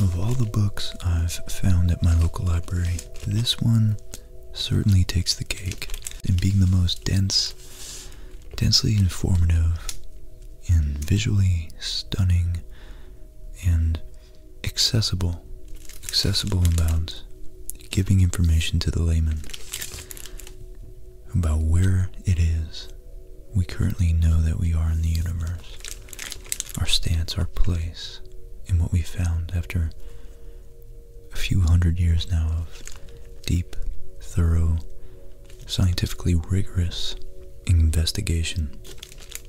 Of all the books I've found at my local library, this one certainly takes the cake in being the most dense, densely informative, and visually stunning, and accessible, accessible in bounds, giving information to the layman about where it is we currently know that we are in the universe, our stance, our place, and what we found after a few hundred years now of deep, thorough, scientifically rigorous investigation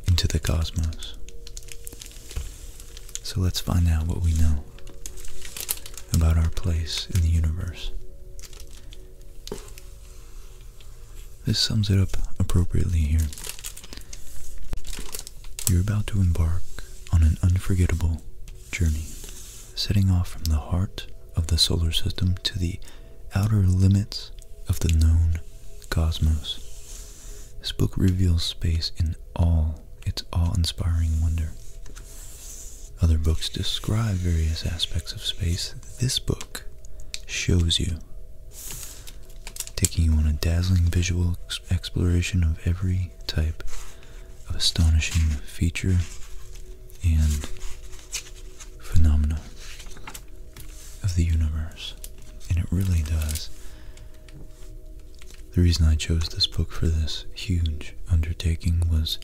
into the cosmos. So let's find out what we know about our place in the universe. This sums it up appropriately here. You're about to embark on an unforgettable journey, setting off from the heart of the solar system to the outer limits of the known cosmos. This book reveals space in all its awe-inspiring wonder. Other books describe various aspects of space. This book shows you, taking you on a dazzling visual exploration of every type of astonishing feature and phenomena of the universe, and it really does. The reason I chose this book for this huge undertaking was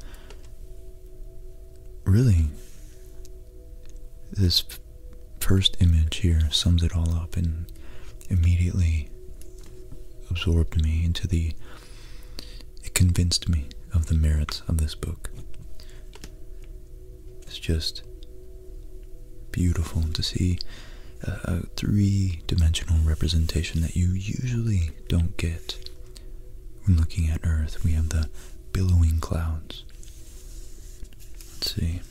really this first image here sums it all up and immediately absorbed me into the it convinced me of the merits of this book it's just beautiful to see a, three-dimensional representation that you usually don't get when looking at Earth. We have the billowing clouds. Let's see.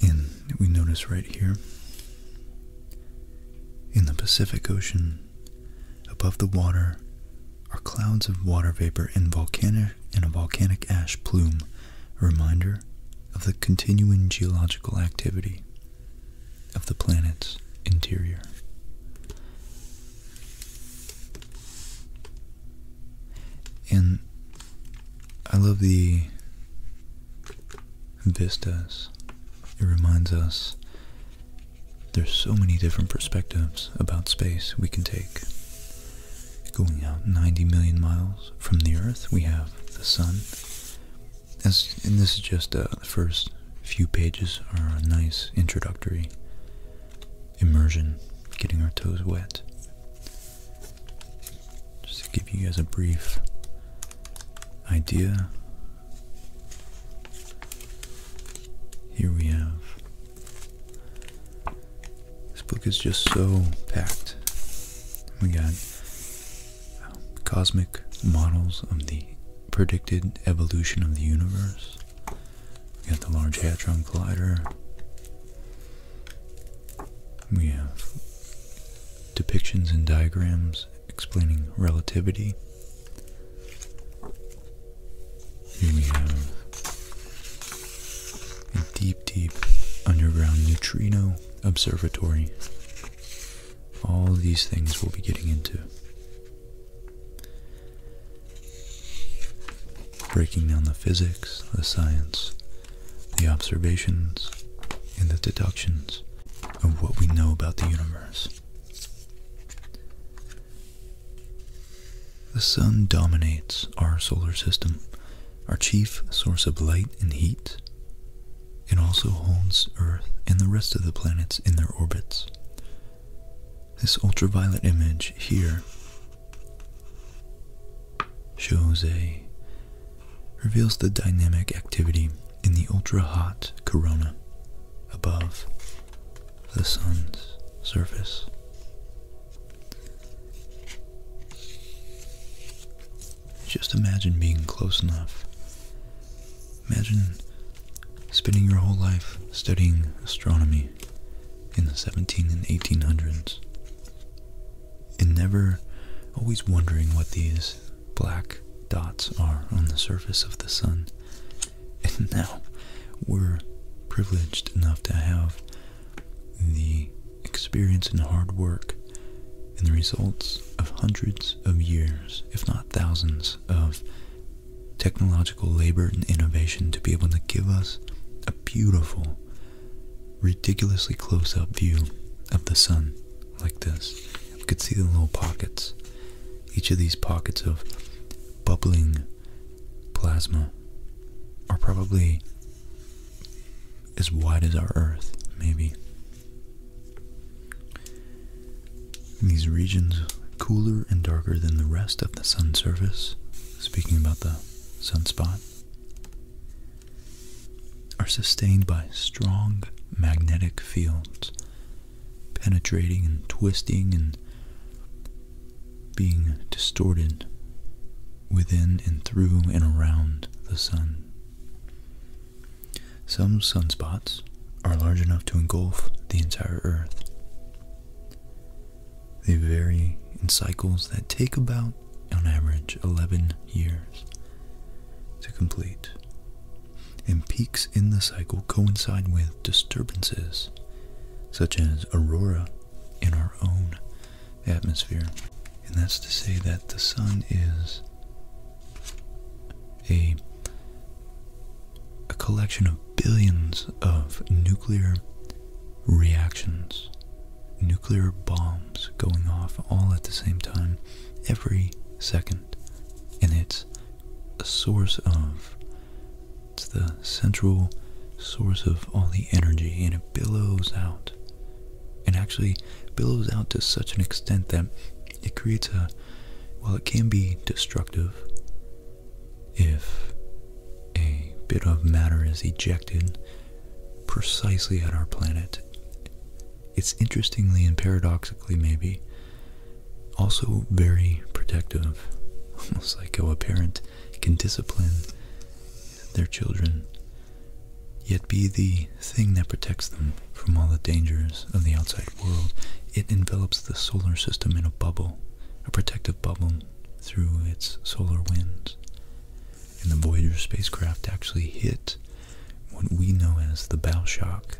And we notice right here in the Pacific Ocean, above the water, are clouds of water vapor in, a volcanic ash plume, a reminder of the continuing geological activity of the planet's interior. And I love the vistas. It reminds us there's so many different perspectives about space we can take going out 90 million miles from the Earth, we have the Sun. As, and this is just uh, the first few pages are a nice introductory immersion, getting our toes wet. Just to give you guys a brief idea. Here we have this book is just so packed. We got um, cosmic models of the predicted evolution of the universe. We got the Large Hadron Collider. We have depictions and diagrams explaining relativity. Here we have a deep, deep underground neutrino observatory. All these things we'll be getting into. Breaking down the physics, the science, the observations, and the deductions of what we know about the universe. The Sun dominates our solar system, our chief source of light and heat. It also holds Earth and the rest of the planets in their orbits. This ultraviolet image here shows a reveals the dynamic activity in the ultra hot corona above the sun's surface. Just imagine being close enough. Imagine spending your whole life studying astronomy in the 17 and 1800s and never always wondering what these black dots are on the surface of the sun. And now we're privileged enough to have the experience and hard work and the results of hundreds of years, if not thousands, of technological labor and innovation to be able to give us a beautiful, ridiculously close up view of the sun like this. We could see the little pockets, each of these pockets of bubbling plasma are probably as wide as our Earth, maybe. These regions cooler and darker than the rest of the sun's surface, speaking about the sunspot, are sustained by strong magnetic fields penetrating and twisting and being distorted within and through and around the sun. Some sunspots are large enough to engulf the entire Earth. They vary in cycles that take about, on average, 11 years to complete, and peaks in the cycle coincide with disturbances such as aurora in our own atmosphere. And that's to say that the sun is a, a collection of billions of nuclear reactions, nuclear bombs going off all at the same time every second. And it's a source of it's the central source of all the energy and it billows out. And actually billows out to such an extent that it creates a, well, it can be destructive if a bit of matter is ejected precisely at our planet. It's interestingly and paradoxically, maybe, also very protective, almost like how a parent can discipline their children, yet be the thing that protects them from all the dangers of the outside world. It envelops the solar system in a bubble, a protective bubble through its solar winds. And the Voyager spacecraft actually hit what we know as the bow shock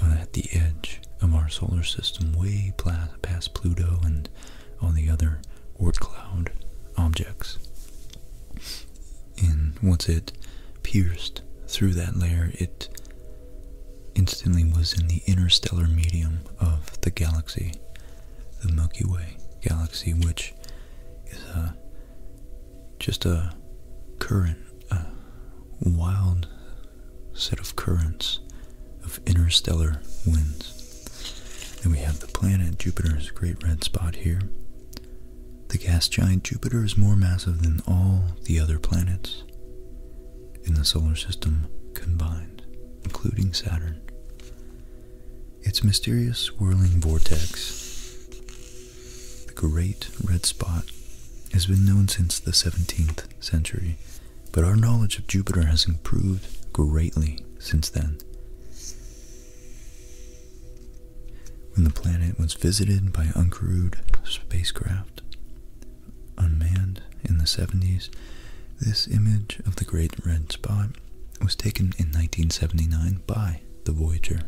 uh, at the edge of our solar system, way past Pluto and on the other or cloud objects. And once it pierced through that layer, it instantly was in the interstellar medium of the galaxy, the Milky Way galaxy, which is a, uh, just a current, a wild set of currents of interstellar winds. and we have the planet Jupiter's great red spot here. The gas giant Jupiter is more massive than all the other planets in the solar system combined, including Saturn. Its mysterious swirling vortex, the Great Red Spot, has been known since the 17th century but our knowledge of Jupiter has improved greatly since then. When the planet was visited by uncrewed spacecraft, unmanned in the 70s, this image of the Great Red Spot was taken in 1979 by the Voyager,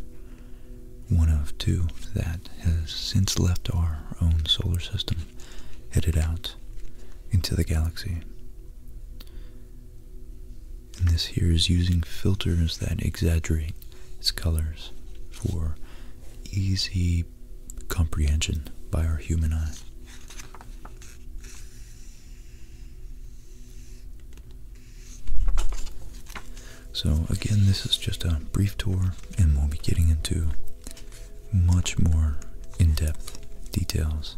one of two that has since left our own solar system, headed out into the galaxy. And this here is using filters that exaggerate its colors for easy comprehension by our human eye. So again, this is just a brief tour and we'll be getting into much more in-depth details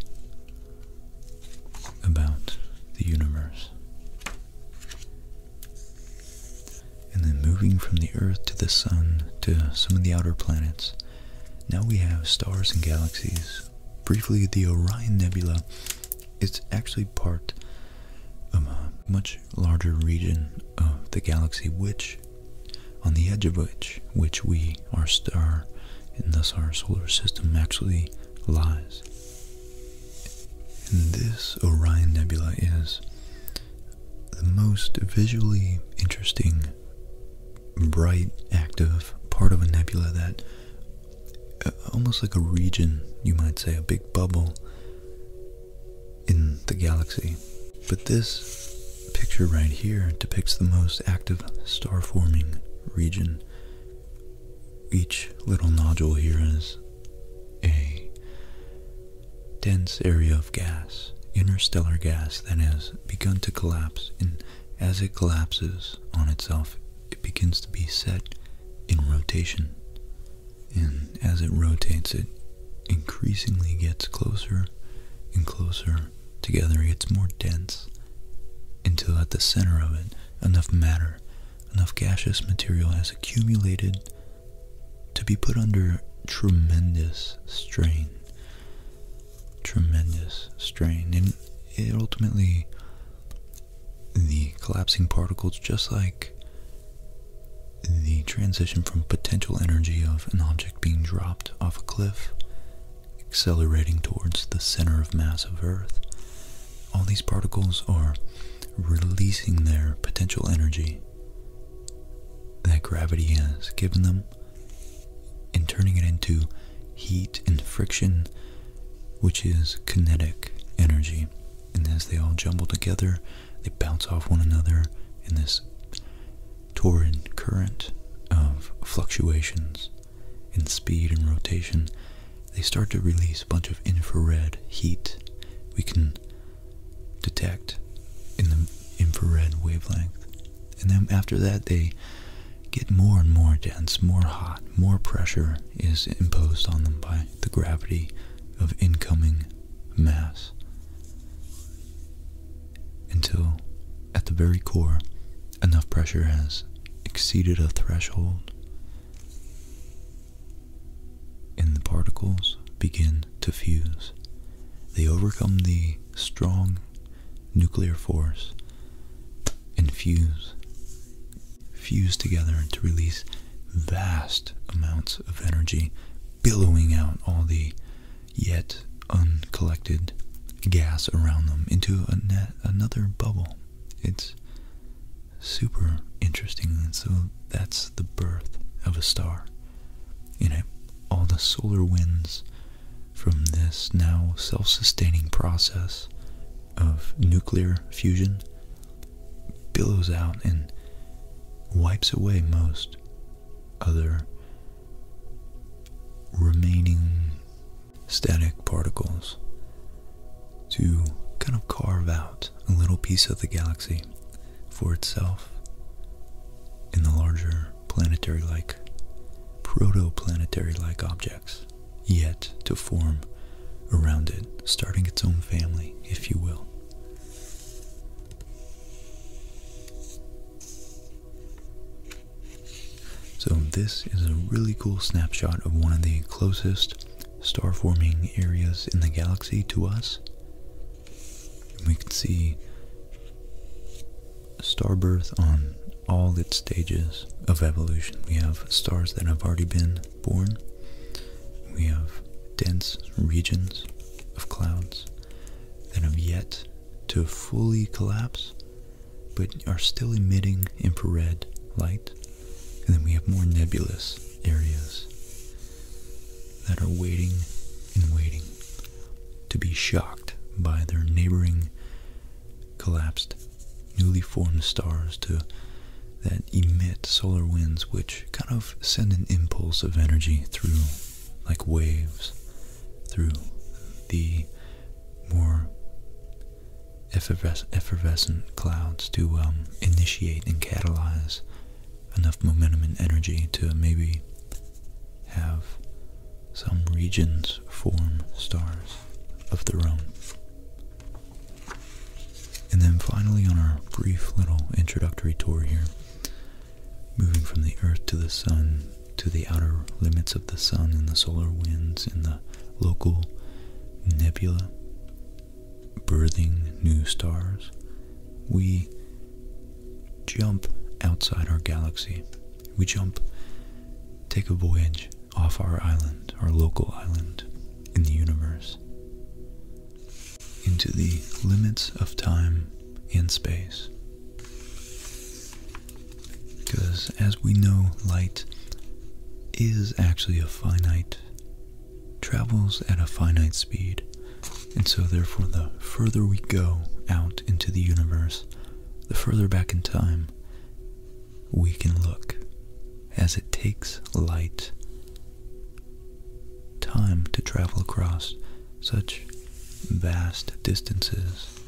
about the universe. And then moving from the Earth to the Sun to some of the outer planets, now we have stars and galaxies. Briefly, the Orion Nebula is actually part of a much larger region of the galaxy, which, on the edge of which, which we our star, and thus our solar system actually lies. And this Orion Nebula is the most visually interesting, bright, active part of a nebula that uh, almost like a region, you might say, a big bubble in the galaxy. But this picture right here depicts the most active star forming region. Each little nodule here is a dense area of gas, interstellar gas that has begun to collapse, and as it collapses on itself, it begins to be set in rotation. And as it rotates, it increasingly gets closer and closer together, it gets more dense until at the center of it, enough matter, enough gaseous material has accumulated to be put under tremendous strain. Tremendous strain. And it ultimately, the collapsing particles, just like the transition from potential energy of an object being dropped off a cliff accelerating towards the center of mass of Earth, all these particles are releasing their potential energy that gravity has given them and turning it into heat and friction, which is kinetic energy. And as they all jumble together, they bounce off one another in this torrid current of fluctuations in speed and rotation, they start to release a bunch of infrared heat we can detect in the infrared wavelength. And then after that, they get more and more dense, more hot, more pressure is imposed on them by the gravity of incoming mass. Until, at the very core, enough pressure has exceeded a threshold and the particles begin to fuse. They overcome the strong nuclear force and fuse fuse together to release vast amounts of energy billowing out all the yet uncollected gas around them into another bubble. It's super interesting, and so that's the birth of a star. You know, all the solar winds from this now self-sustaining process of nuclear fusion billows out and wipes away most other remaining static particles to kind of carve out a little piece of the galaxy for itself in the larger planetary like, protoplanetary like objects, yet to form around it, starting its own family, if you will. So this is a really cool snapshot of one of the closest star-forming areas in the galaxy to us. we can see star birth on all its stages of evolution. We have stars that have already been born. We have dense regions of clouds that have yet to fully collapse but are still emitting infrared light. And then we have more nebulous areas that are waiting and waiting to be shocked by their neighboring collapsed newly formed stars to that emit solar winds which kind of send an impulse of energy through like waves through the more effervescent clouds to um, initiate and catalyze enough momentum and energy to maybe have some regions form stars of their own. And then finally, on our brief little introductory tour here, moving from the Earth to the Sun to the outer limits of the sun and the solar winds in the local nebula, birthing new stars, we jump outside our galaxy. We jump, take a voyage off our island, our local island in the universe, into the limits of time and space. Because as we know, light is actually a finite, travels at a finite speed. And so, therefore, the further we go out into the universe, the further back in time we can look, as it takes light time to travel across such vast distances.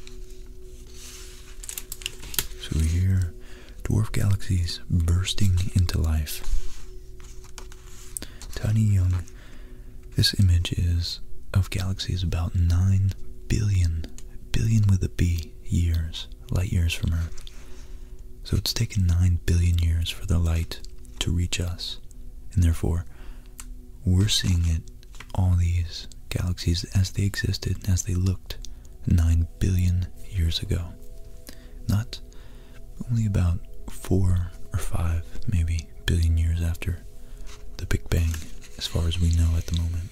So here, dwarf galaxies bursting into life. Tiny Young, this image is of galaxies about 9 billion, billion with a B, years, light years from Earth. So it's taken 9 billion years for the light to reach us, and therefore we're seeing it all these galaxies as they existed, as they looked 9 billion years ago. Not only about 4 or 5, maybe, billion years after the Big Bang, as far as we know at the moment.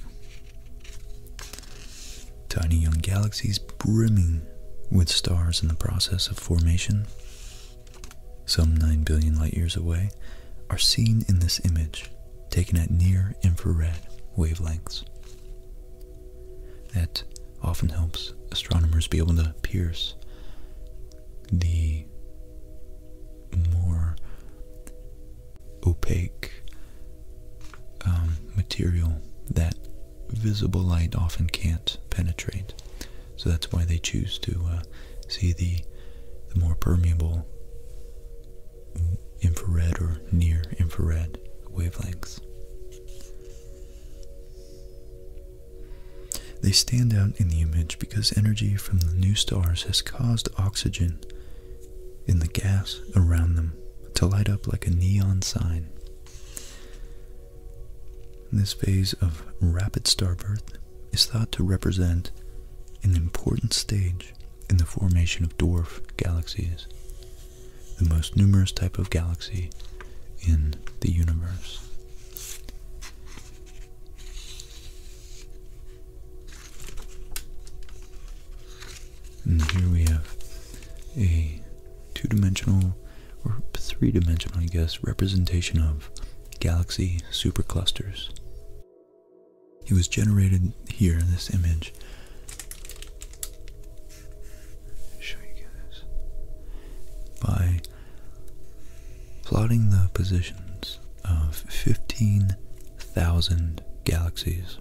Tiny young galaxies brimming with stars in the process of formation, some 9 billion light years away, are seen in this image taken at near infrared wavelengths. That often helps astronomers be able to pierce the more opaque um, material that visible light often can't penetrate. So that's why they choose to uh, see the more permeable infrared or near infrared wavelengths. They stand out in the image because energy from the new stars has caused oxygen in the gas around them to light up like a neon sign. This phase of rapid star birth is thought to represent an important stage in the formation of dwarf galaxies, the most numerous type of galaxy in the universe. And here we have a two-dimensional, or three-dimensional, I guess, representation of galaxy superclusters. It was generated here in this image. by plotting the positions of fifteen thousand galaxies.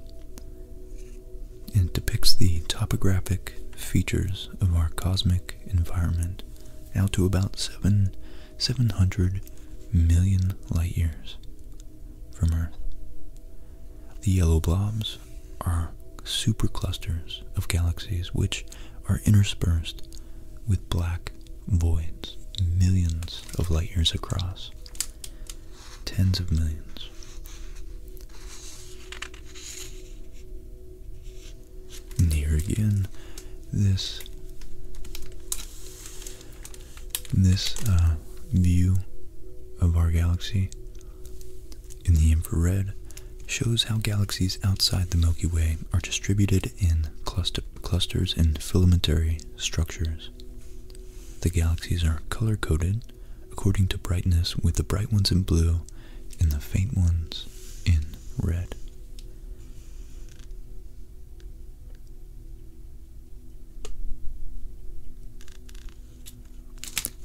It depicts the topographic features of our cosmic environment out to about seven seven hundred million light years from Earth. The yellow blobs are superclusters of galaxies which are interspersed with black voids millions of light years across. Tens of millions. And here again, this this uh, view of our galaxy in the infrared shows how galaxies outside the Milky Way are distributed in clusters and filamentary structures. The galaxies are color-coded according to brightness with the bright ones in blue and the faint ones in red.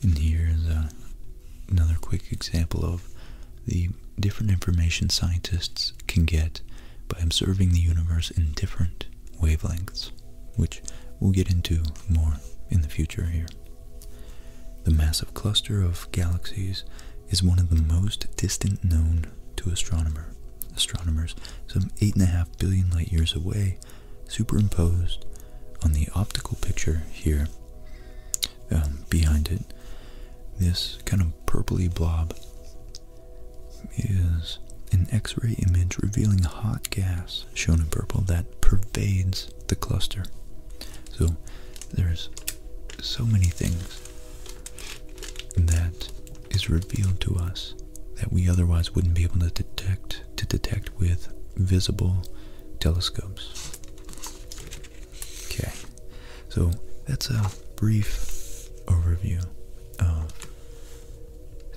And here is uh, another quick example of the different information scientists can get by observing the universe in different wavelengths, which we'll get into more in the future here. The massive cluster of galaxies is one of the most distant known to astronomer, astronomers, some 8.5 billion light years away superimposed on the optical picture here um, behind it. This kind of purpley blob is an X ray image revealing hot gas shown in purple that pervades the cluster. So there's so many things that is revealed to us that we otherwise wouldn't be able to detect to detect with visible telescopes. Okay, so that's a brief overview of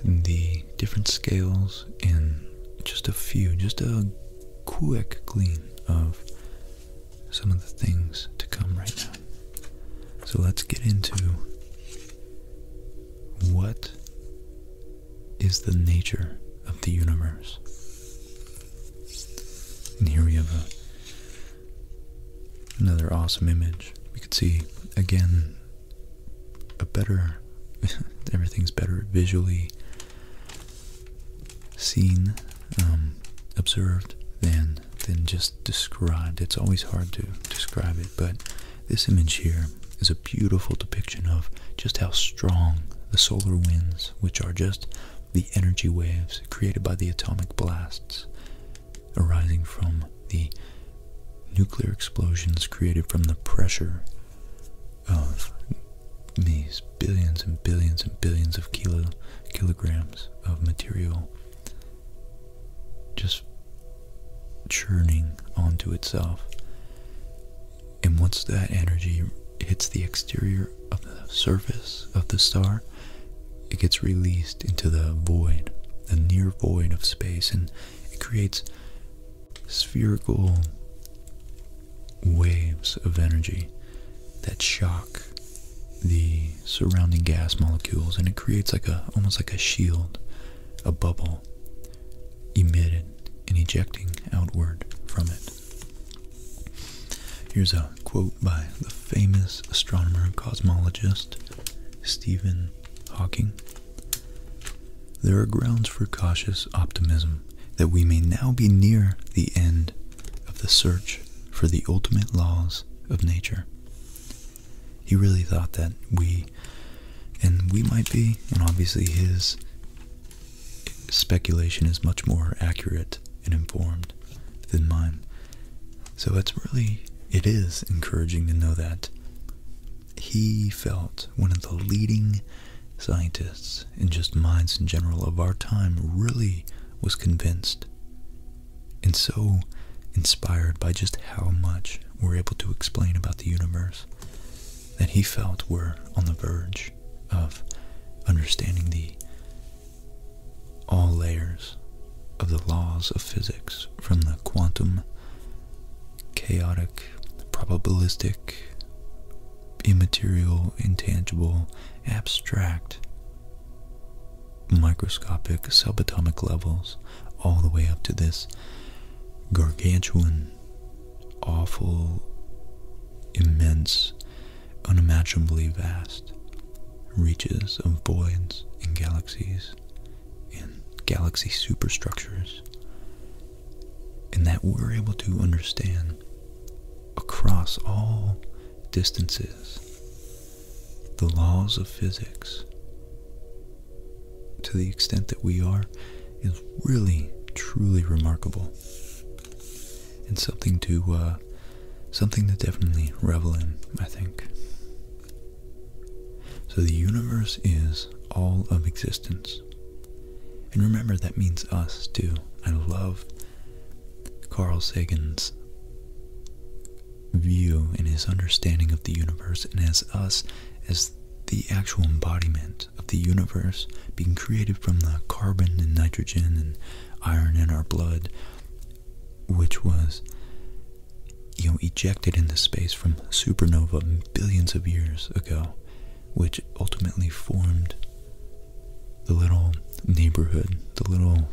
the different scales and just a few, just a quick glean of some of the things to come right now. So let's get into what is the nature of the universe? And here we have another awesome image. We could see again a better, everything's better visually seen, um, observed than than just described. It's always hard to describe it, but this image here is a beautiful depiction of just how strong the solar winds, which are just the energy waves created by the atomic blasts arising from the nuclear explosions created from the pressure of these billions and billions and billions of kilo, kilograms of material just churning onto itself. And once that energy hits the exterior of the surface of the star, it gets released into the void, the near void of space, and it creates spherical waves of energy that shock the surrounding gas molecules and it creates like a almost like a shield a bubble emitted and ejecting outward from it. Here's a quote by the famous astronomer and cosmologist Stephen Hawking. There are grounds for cautious optimism that we may now be near the end of the search for the ultimate laws of nature. He really thought that we, and we might be, and obviously his speculation is much more accurate and informed than mine. So it's really, it is encouraging to know that he felt one of the leading scientists in just minds in general of our time really was convinced and so inspired by just how much were able to explain about the universe that he felt were on the verge of understanding the all layers of the laws of physics from the quantum chaotic probabilistic immaterial intangible abstract microscopic subatomic levels all the way up to this gargantuan, awful, immense, unimaginably vast reaches of voids and galaxies and galaxy superstructures. And that we're able to understand across all distances the laws of physics to the extent that we are is really truly remarkable and something to uh, something to definitely revel in i think so the universe is all of existence and remember that means us too i love carl sagan's view and his understanding of the universe and as us as the actual embodiment of the universe being created from the carbon and nitrogen and iron in our blood, which was you know ejected into space from supernova billions of years ago, which ultimately formed the little neighborhood, the little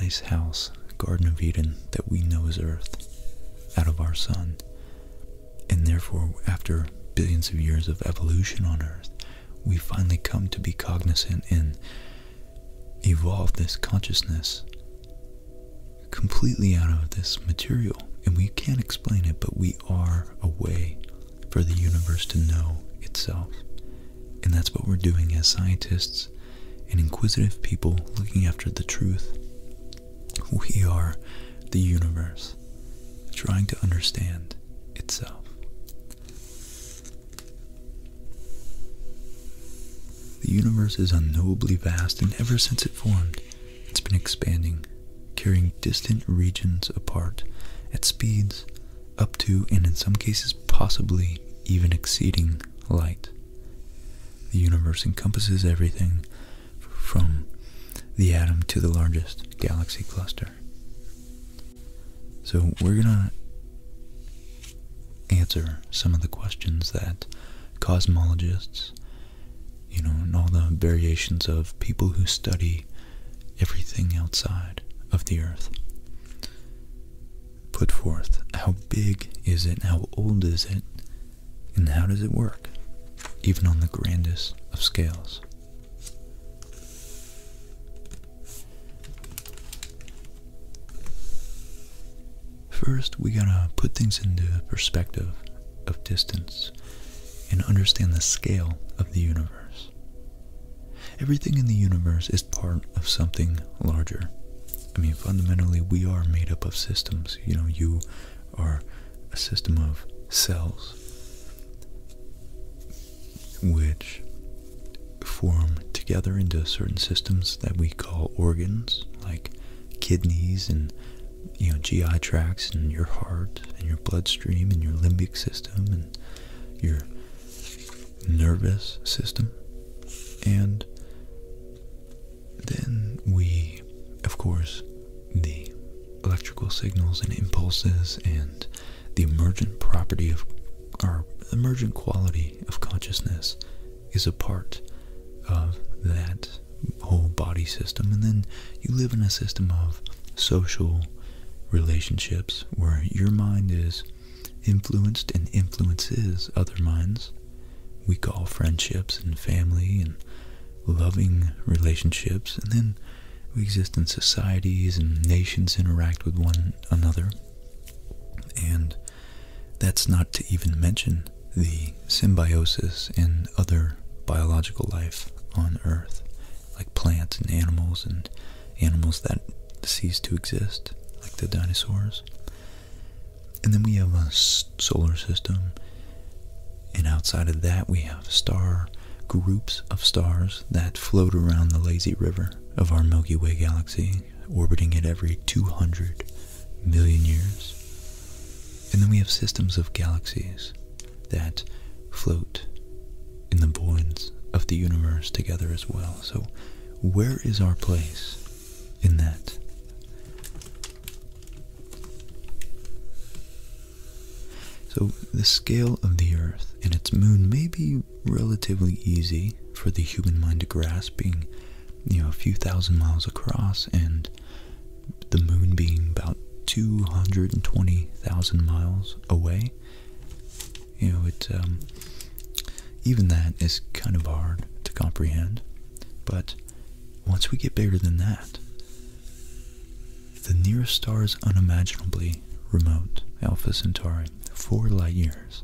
nice house, Garden of Eden that we know as Earth out of our sun. And therefore, after billions of years of evolution on Earth, we finally come to be cognizant and evolve this consciousness completely out of this material. And we can't explain it, but we are a way for the universe to know itself. And that's what we're doing as scientists and inquisitive people looking after the truth we are the universe trying to understand itself. The universe is unknowably vast, and ever since it formed, it's been expanding, carrying distant regions apart at speeds up to, and in some cases, possibly even exceeding light. The universe encompasses everything from the atom to the largest galaxy cluster. So we're going to answer some of the questions that cosmologists, you know, and all the variations of people who study everything outside of the Earth put forth. How big is it? How old is it? And how does it work, even on the grandest of scales? First, we gotta put things into perspective of distance and understand the scale of the universe. Everything in the universe is part of something larger. I mean, fundamentally, we are made up of systems. You know, you are a system of cells which form together into certain systems that we call organs, like kidneys and you know GI tracts and your heart and your bloodstream and your limbic system and your nervous system and then we, of course, the electrical signals and impulses and the emergent property of our emergent quality of consciousness is a part of that whole body system. And then you live in a system of social relationships where your mind is influenced and influences other minds we call friendships and family and loving relationships, and then we exist in societies and nations interact with one another. And that's not to even mention the symbiosis in other biological life on Earth, like plants and animals and animals that cease to exist, like the dinosaurs. And then we have a solar system, and outside of that, we have star groups of stars that float around the lazy river of our Milky Way galaxy, orbiting it every 200 million years. And then we have systems of galaxies that float in the voids of the universe together as well. So, where is our place in that? So, the scale of the Earth and its moon may be relatively easy for the human mind to grasp, being, you know, a few thousand miles across, and the moon being about 220,000 miles away. You know, it, um, even that is kind of hard to comprehend, but once we get bigger than that, the nearest star is unimaginably remote, Alpha Centauri, four light years.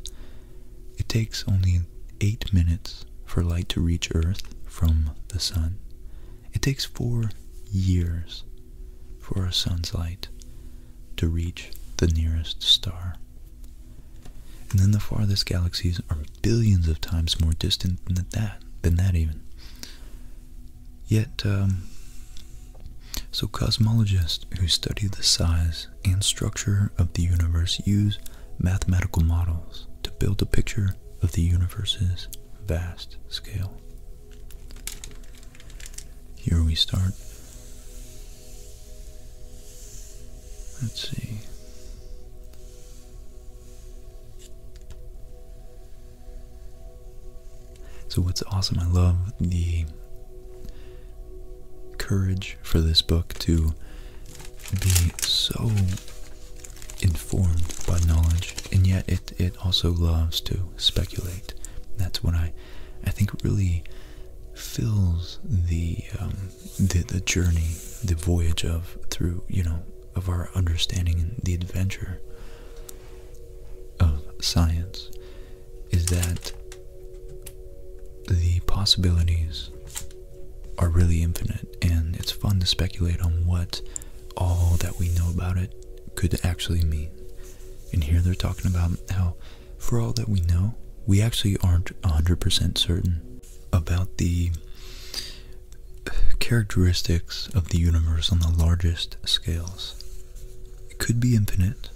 It takes only eight minutes for light to reach Earth from the Sun. It takes four years for our Sun's light to reach the nearest star. And then the farthest galaxies are billions of times more distant than that, than that even. Yet, um, so cosmologists who study the size and structure of the universe use mathematical models to build a picture of the universe's vast scale. Here we start. Let's see. So, what's awesome, I love the courage for this book to be so informed by knowledge, and yet it, it also loves to speculate. That's what I, I think really fills the, um, the the journey, the voyage of through you know of our understanding and the adventure of science is that the possibilities are really infinite and it's fun to speculate on what all that we know about it could actually mean. And here they're talking about how, for all that we know, we actually aren't 100% certain about the characteristics of the universe on the largest scales. It could be infinite.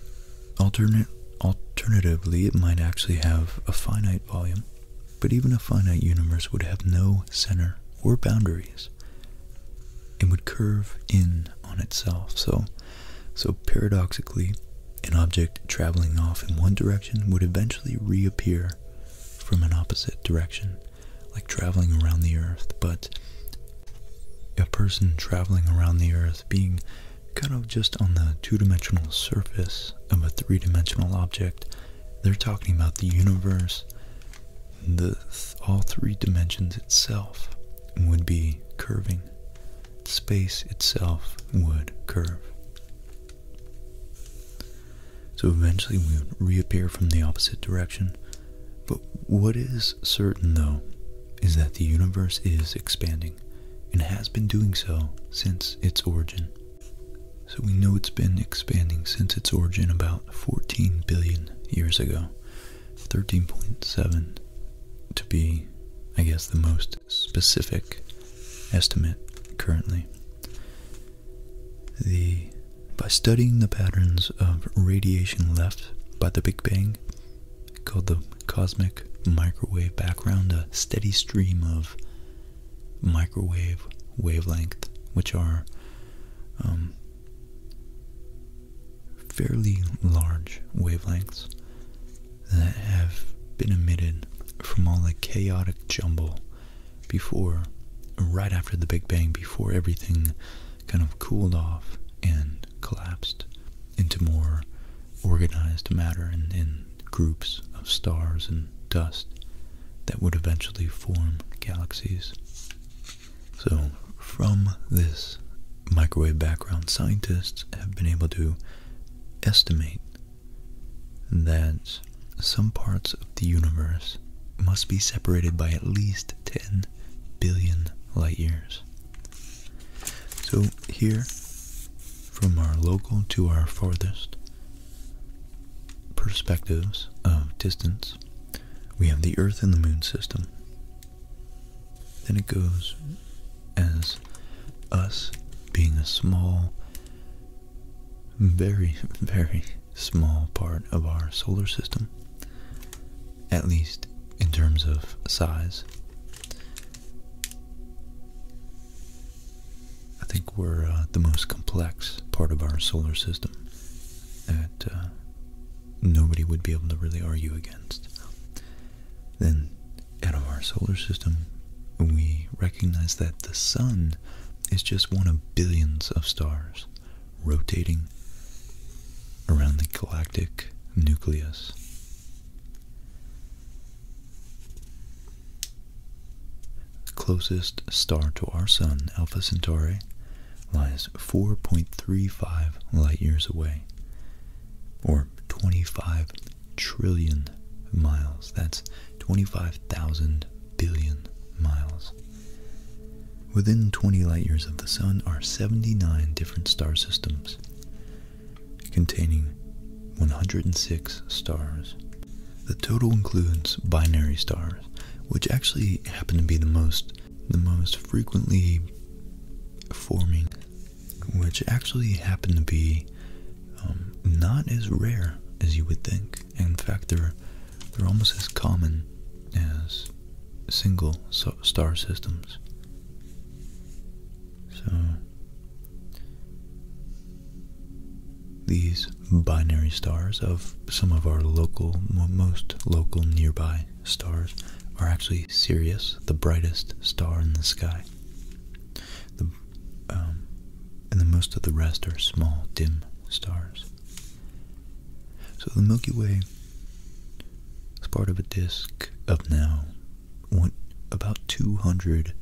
alternatively, it might actually have a finite volume, but even a finite universe would have no center or boundaries and would curve in on itself. So, so paradoxically, an object traveling off in one direction would eventually reappear from an opposite direction, like traveling around the earth, but a person traveling around the earth being kind of just on the two-dimensional surface of a three-dimensional object, they're talking about the universe, the all three dimensions itself would be curving. Space itself would curve. So eventually we would reappear from the opposite direction. But what is certain, though, is that the universe is expanding and has been doing so since its origin. So we know it's been expanding since its origin about 14 billion years ago. 13.7 to be, I guess, the most specific estimate currently the by studying the patterns of radiation left by the Big Bang, called the cosmic microwave background, a steady stream of microwave wavelengths, which are um, fairly large wavelengths that have been emitted from all the chaotic jumble before, right after the Big Bang, before everything kind of cooled off and collapsed into more organized matter and, and groups of stars and dust that would eventually form galaxies. So, from this microwave background, scientists have been able to estimate that some parts of the universe must be separated by at least 10 billion light years. So, here, from our local to our farthest perspectives of distance, we have the Earth and the Moon system. Then it goes as us being a small, very, very small part of our solar system, at least in terms of size. I think we're uh, the most complex part of our solar system that uh, nobody would be able to really argue against. Then, out of our solar system, we recognize that the sun sun is just one of billions of stars rotating around the galactic nucleus. closest star to our sun, Alpha Centauri, lies 4.35 light years away, or 25 trillion miles. That's 25,000 billion miles. Within 20 light years of the Sun are 79 different star systems, containing 106 stars. The total includes binary stars, which actually happen to be the most the most frequently forming, which actually happen to be um, not as rare as you would think. In fact, there. are they're almost as common as single star systems. So these binary stars of some of our local, most local nearby stars are actually Sirius, the brightest star in the sky. Um, and then most of the rest are small, dim stars. So the Milky Way is part of a disk of now about 200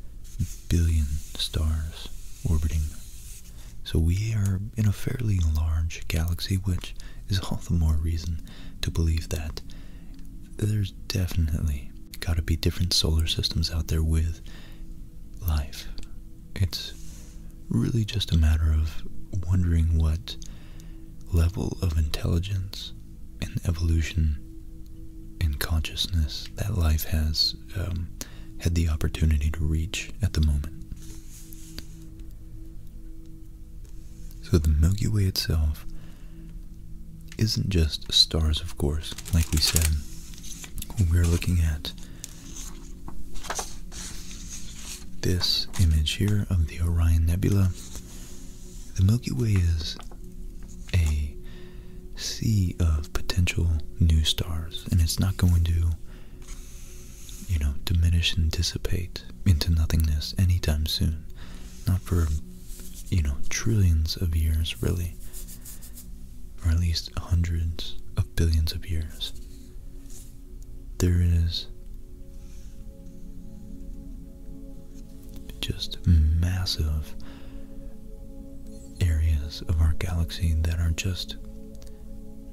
billion stars orbiting. So we are in a fairly large galaxy, which is all the more reason to believe that there's definitely got to be different solar systems out there with life. It's really just a matter of wondering what level of intelligence and evolution and consciousness that life has um, had the opportunity to reach at the moment. So the Milky Way itself isn't just stars, of course, like we said we are looking at this image here of the Orion Nebula, the Milky Way is a sea of potential new stars, and it's not going to, you know, diminish and dissipate into nothingness anytime soon. Not for, you know, trillions of years, really, or at least hundreds of billions of years there is just massive areas of our galaxy that are just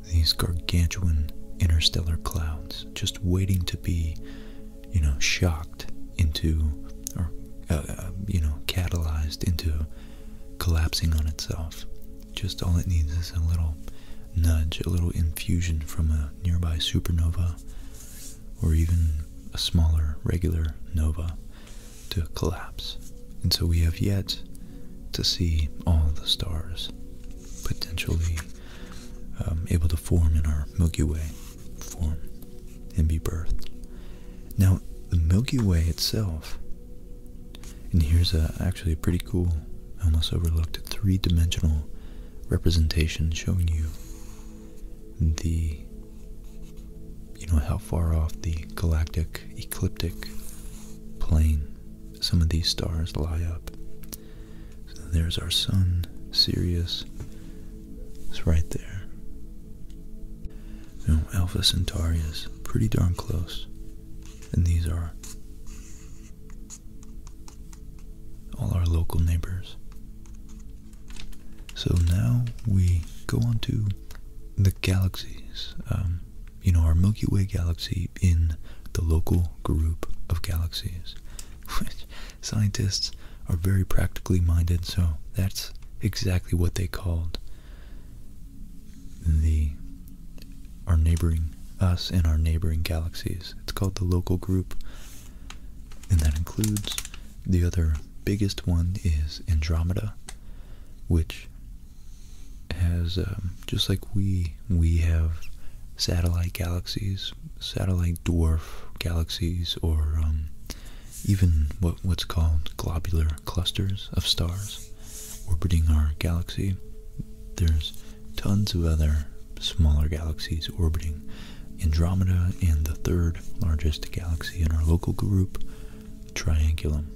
these gargantuan interstellar clouds just waiting to be you know shocked into or uh, uh, you know catalyzed into collapsing on itself just all it needs is a little nudge, a little infusion from a nearby supernova or even a smaller regular nova to collapse. And so we have yet to see all the stars potentially um, able to form in our Milky Way form and be birthed. Now, the Milky Way itself and here's actually a pretty cool, almost overlooked, three-dimensional representation showing you the, you know, how far off the galactic ecliptic plane some of these stars lie up. there's our sun, Sirius, it's right there. You know, Alpha Centauri is pretty darn close. And these are all our local neighbors. So now we go on to the galaxies, um, you know, our Milky Way galaxy in the local group of galaxies, which scientists are very practically minded, so that's exactly what they called the our neighboring us and our neighboring galaxies. It's called the local group, and that includes the other biggest one is Andromeda, which has um, just like we we have satellite galaxies, satellite dwarf galaxies, or um, even what what's called globular clusters of stars orbiting our galaxy. There's tons of other smaller galaxies orbiting Andromeda and the third largest galaxy in our local group, Triangulum.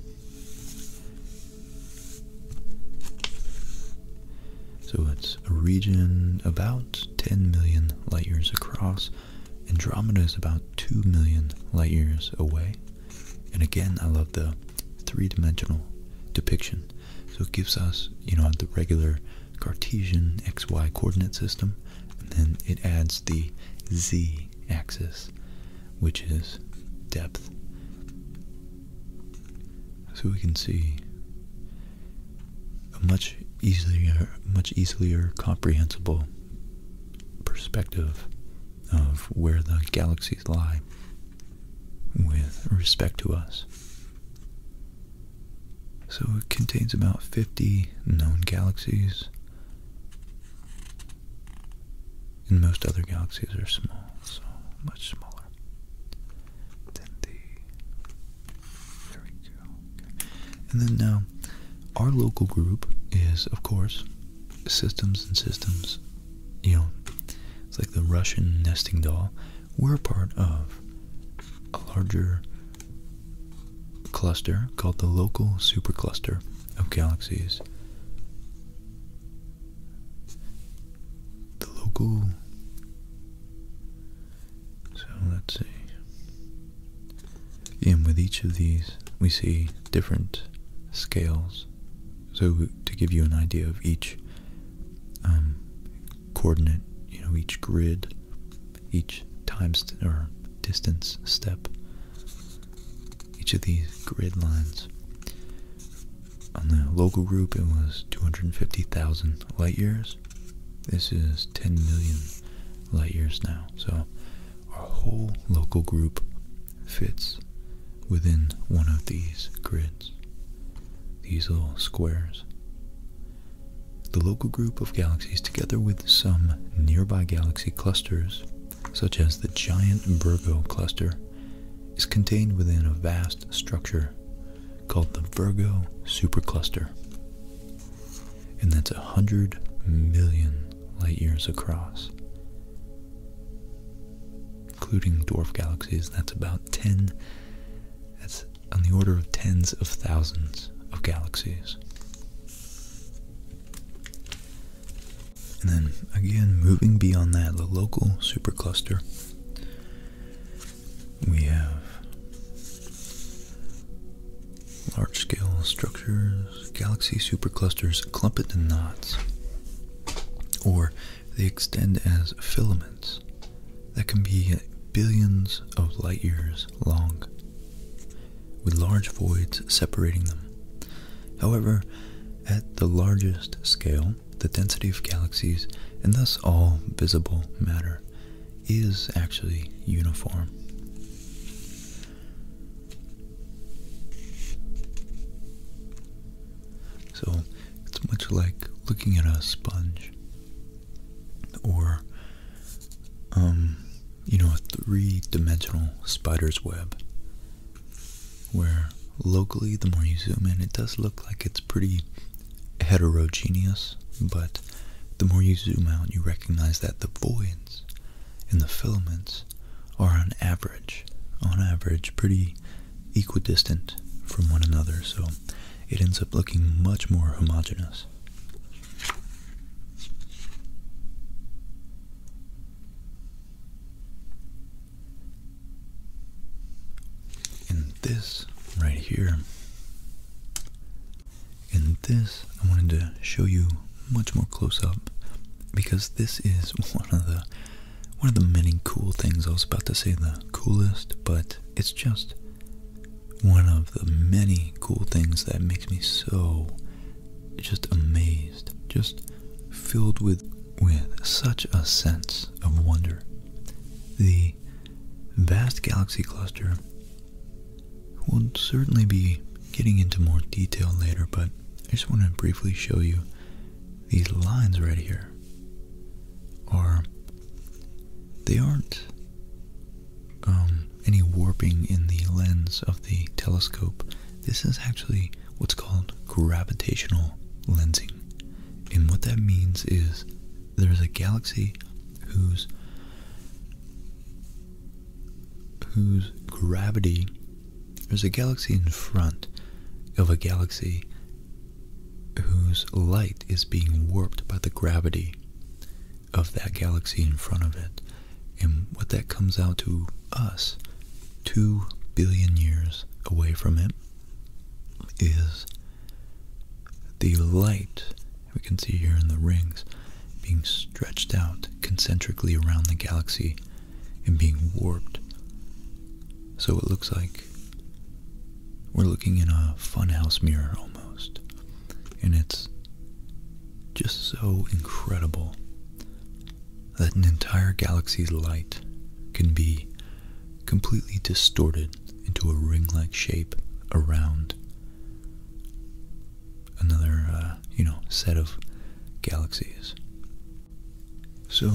So it's a region about 10 million light years across. Andromeda is about 2 million light years away. And again, I love the three-dimensional depiction. So it gives us, you know, the regular Cartesian XY coordinate system, and then it adds the Z axis, which is depth. So we can see a much easier, much easier comprehensible perspective of where the galaxies lie with respect to us. So it contains about 50 known galaxies, and most other galaxies are small, so much smaller than the. There we go. And then now, our local group is, of course, systems and systems you know, it's like the Russian nesting doll. We're part of a larger cluster called the local supercluster of galaxies. The local. So let's see. And with each of these, we see different scales so to give you an idea of each um, coordinate, you know, each grid, each time step or distance step, each of these grid lines. On the local group, it was 250,000 light years. This is 10 million light years now. So our whole local group fits within one of these grids, these little squares. The local group of galaxies, together with some nearby galaxy clusters, such as the giant Virgo cluster, is contained within a vast structure called the Virgo supercluster. And that's a hundred million light years across including dwarf galaxies, that's about 10, that's on the order of tens of thousands of galaxies. And then again, moving beyond that, the local supercluster, we have large scale structures, galaxy superclusters clumped in knots, or they extend as filaments that can be billions of light years long, with large voids separating them. However, at the largest scale, the density of galaxies, and thus all visible matter, is actually uniform. So it's much like looking at a sponge or, um, you know, a three-dimensional spider's web where locally, the more you zoom in, it does look like it's pretty heterogeneous, but the more you zoom out, you recognize that the voids and the filaments are on average, on average, pretty equidistant from one another, so it ends up looking much more homogeneous. And this right here, and this I wanted to show you much more close up because this is one of the one of the many cool things, I was about to say the coolest, but it's just one of the many cool things that makes me so just amazed, just filled with with such a sense of wonder. The vast galaxy cluster we will certainly be getting into more detail later, but I just want to briefly show you these lines right here are they aren't um, any warping in the lens of the telescope. This is actually what's called gravitational lensing. And what that means is there's a galaxy whose whose gravity there's a galaxy in front of a galaxy whose light is being warped by the gravity of that galaxy in front of it. And what that comes out to us, two billion years away from it, is the light we can see here in the rings being stretched out concentrically around the galaxy and being warped. So it looks like we're looking in a funhouse mirror almost. And it's just so incredible that an entire galaxy's light can be completely distorted into a ring-like shape around another, uh, you know, set of galaxies. So,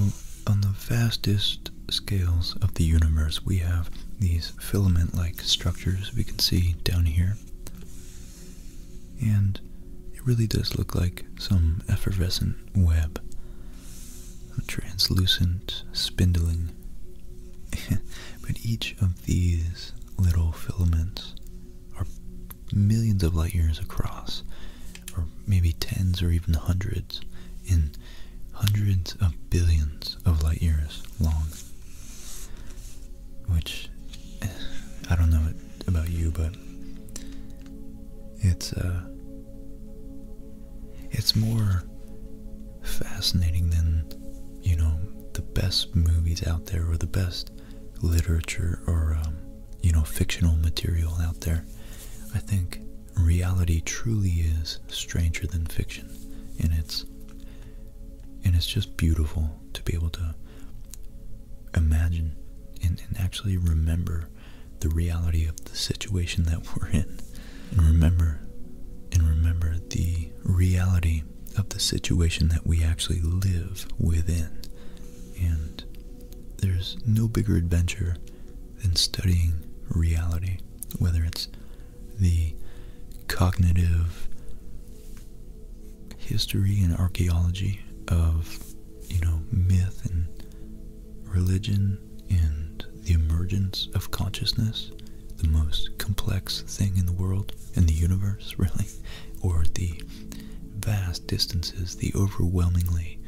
on the vastest scales of the universe, we have these filament like structures we can see down here. And it really does look like some effervescent web, a translucent spindling. but each of these little filaments are millions of light years across or maybe tens or even hundreds in hundreds of billions of light years long which eh, I don't know about you but it's uh, it's more fascinating than you know the best movies out there or the best literature or um, you know, fictional material out there. I think reality truly is stranger than fiction, and it's and it's just beautiful to be able to imagine and, actually remember the reality of the situation that we're in, and remember and remember the reality of the situation that we actually live within. And there's no bigger adventure than studying reality, whether it's the cognitive history and archaeology of, you know, myth and religion and the emergence of consciousness, the most complex thing in the world, in the universe, really, or the vast distances, the overwhelmingly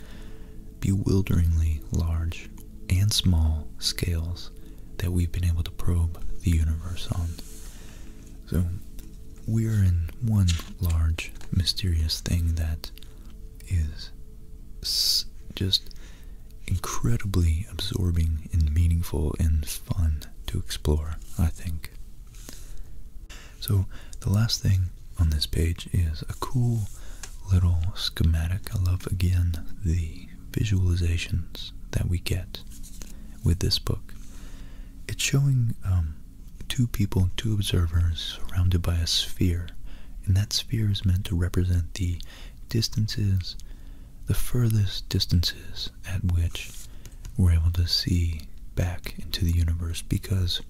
bewilderingly large and small scales that we've been able to probe the universe on. So, we're in one large mysterious thing that is just incredibly absorbing and meaningful and fun to explore, I think. So, the last thing on this page is a cool little schematic. I love again the visualizations that we get with this book. It's showing um, two people, two observers surrounded by a sphere, and that sphere is meant to represent the distances, the furthest distances at which we're able to see back into the universe because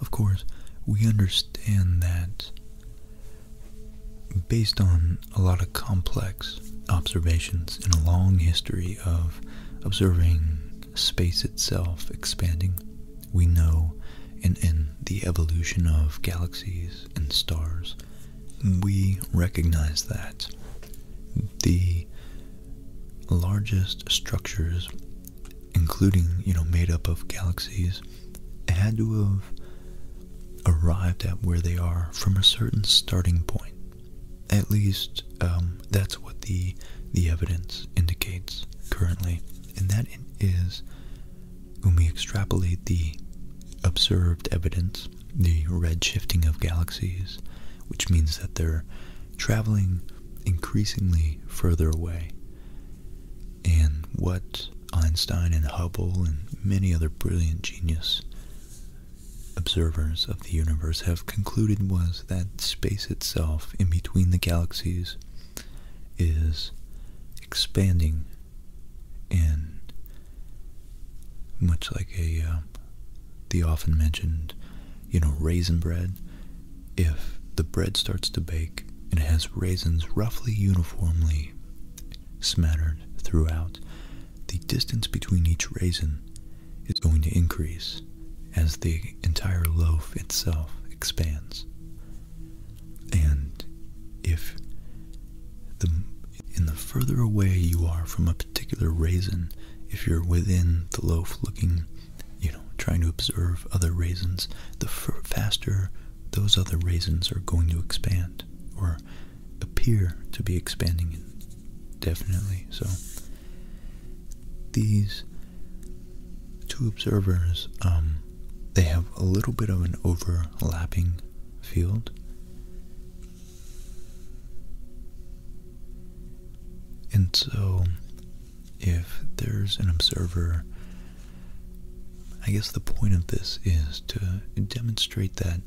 of course, we understand that based on a lot of complex observations and a long history of observing space itself expanding, we know and in the evolution of galaxies and stars, we recognize that the largest structures including you know made up of galaxies, had to have arrived at where they are from a certain starting point. At least um, that's what the the evidence indicates currently, and that is when we extrapolate the observed evidence, the red shifting of galaxies, which means that they're traveling increasingly further away and what Einstein and Hubble and many other brilliant genius observers of the universe have concluded was that space itself in between the galaxies is expanding and much like a uh, the often mentioned you know raisin bread if the bread starts to bake and has raisins roughly uniformly smattered throughout, the distance between each raisin is going to increase as the entire loaf itself expands. And if the in the further away you are from a particular raisin, if you're within the loaf looking you know, trying to observe other raisins, the faster those other raisins are going to expand or appear to be expanding definitely. So these two observers, um, they have a little bit of an overlapping field. And so if there's an observer, I guess the point of this is to demonstrate that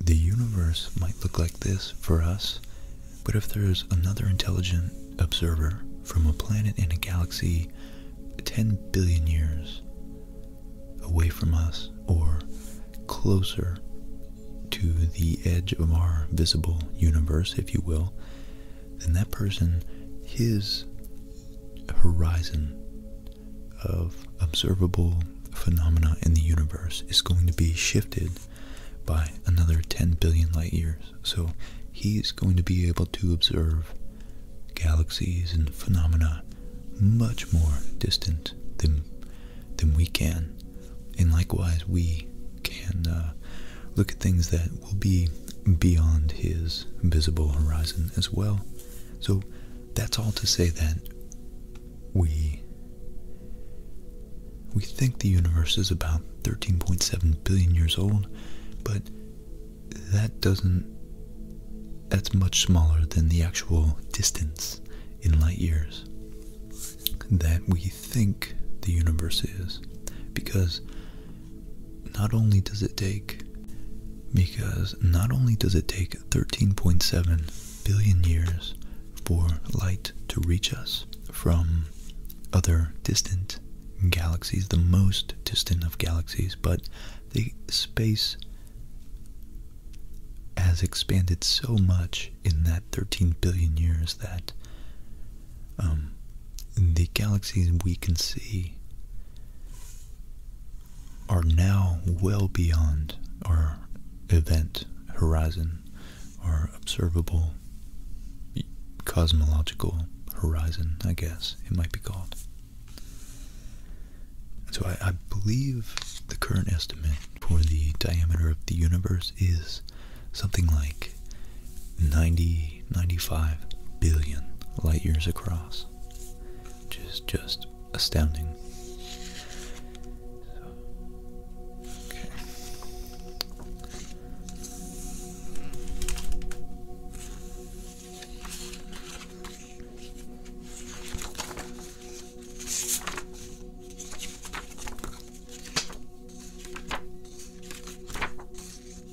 the universe might look like this for us, but if there's another intelligent observer from a planet in a galaxy 10 billion years away from us or closer to the edge of our visible universe, if you will, then that person, his horizon of observable phenomena in the universe is going to be shifted by another 10 billion light years. So he's going to be able to observe galaxies and phenomena much more distant than than we can. And likewise, we can uh, look at things that will be beyond his visible horizon as well. So that's all to say that we we think the universe is about 13.7 billion years old, but that doesn't that's much smaller than the actual distance in light years that we think the universe is because not only does it take, because not only does it take 13.7 billion years for light to reach us from other distant galaxies, the most distant of galaxies, but the space has expanded so much in that 13 billion years that um, the galaxies we can see are now well beyond our event horizon, our observable cosmological horizon, I guess it might be called. So I believe the current estimate for the diameter of the universe is something like 90, 95 billion light years across, which is just astounding.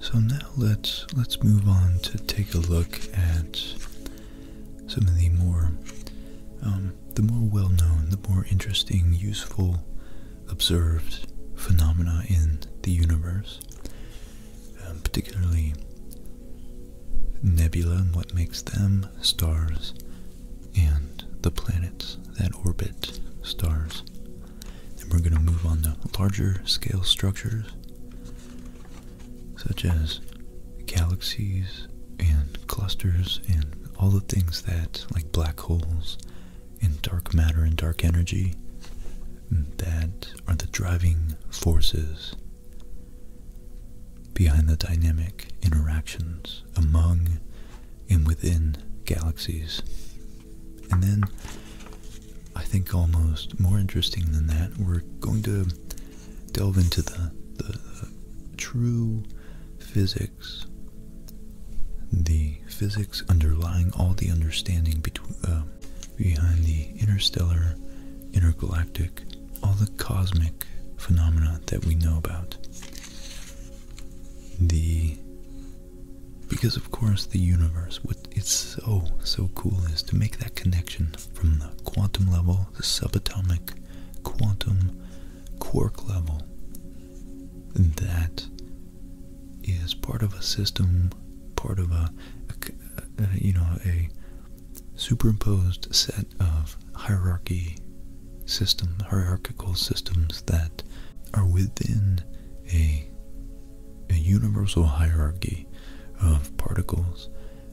So now let's let's move on to take a look at some of the more um, the more well-known, the more interesting, useful, observed phenomena in the universe, um, particularly nebula and what makes them stars, and the planets that orbit stars. Then we're going to move on to larger scale structures, such as galaxies and clusters and all the things that, like black holes and dark matter and dark energy, that are the driving forces behind the dynamic interactions among and within galaxies and then, I think almost more interesting than that, we're going to delve into the, true physics, the physics underlying all the understanding uh, behind the interstellar, intergalactic, all the cosmic phenomena that we know about. The because, of course, the universe, what it's so, so cool is to make that connection from the quantum level, the subatomic, quantum, quark level. That is part of a system, part of a, you know, a superimposed set of hierarchy system, hierarchical systems that are within a, a universal hierarchy of particles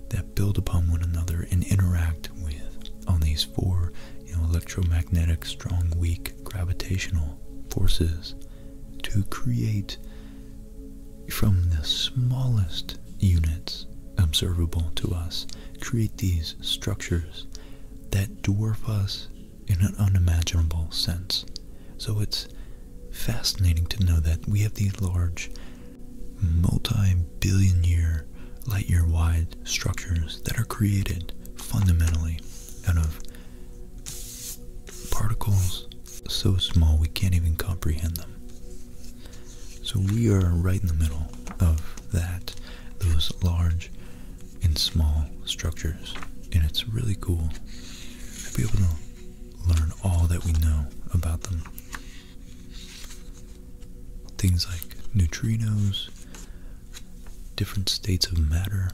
that build upon one another and interact with on these four you know, electromagnetic, strong, weak, gravitational forces to create from the smallest units observable to us, create these structures that dwarf us in an unimaginable sense. So it's fascinating to know that we have these large, multi billion year, light year wide structures that are created fundamentally out of particles so small we can't even comprehend them. So we are right in the middle of that, those large in small structures, and it's really cool to be able to learn all that we know about them. Things like neutrinos, different states of matter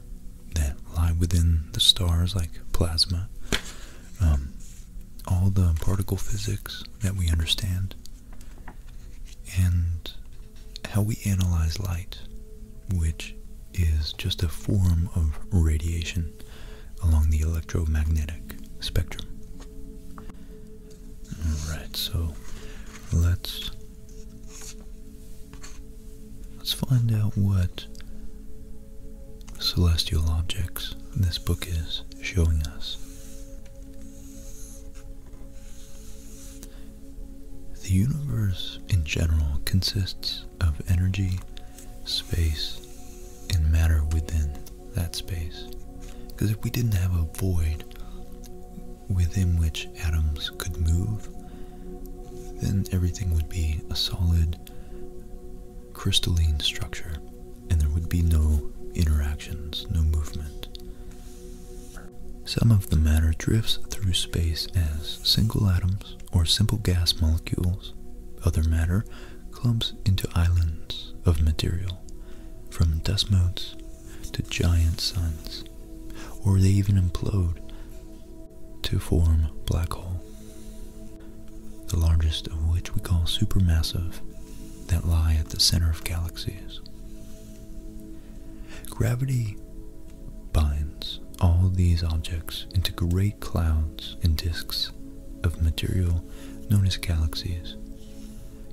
that lie within the stars, like plasma, um, all the particle physics that we understand, and how we analyze light, which is just a form of radiation along the electromagnetic spectrum. Alright, so let's let's find out what celestial objects this book is showing us. The universe in general consists of energy, space, and matter within that space. Because if we didn't have a void within which atoms could move, then everything would be a solid crystalline structure and there would be no interactions, no movement. Some of the matter drifts through space as single atoms or simple gas molecules. Other matter clumps into islands of material, from dust motes to giant suns, or they even implode to form black hole. The largest of which we call supermassive, that lie at the center of galaxies. Gravity binds all these objects into great clouds and disks of material known as galaxies.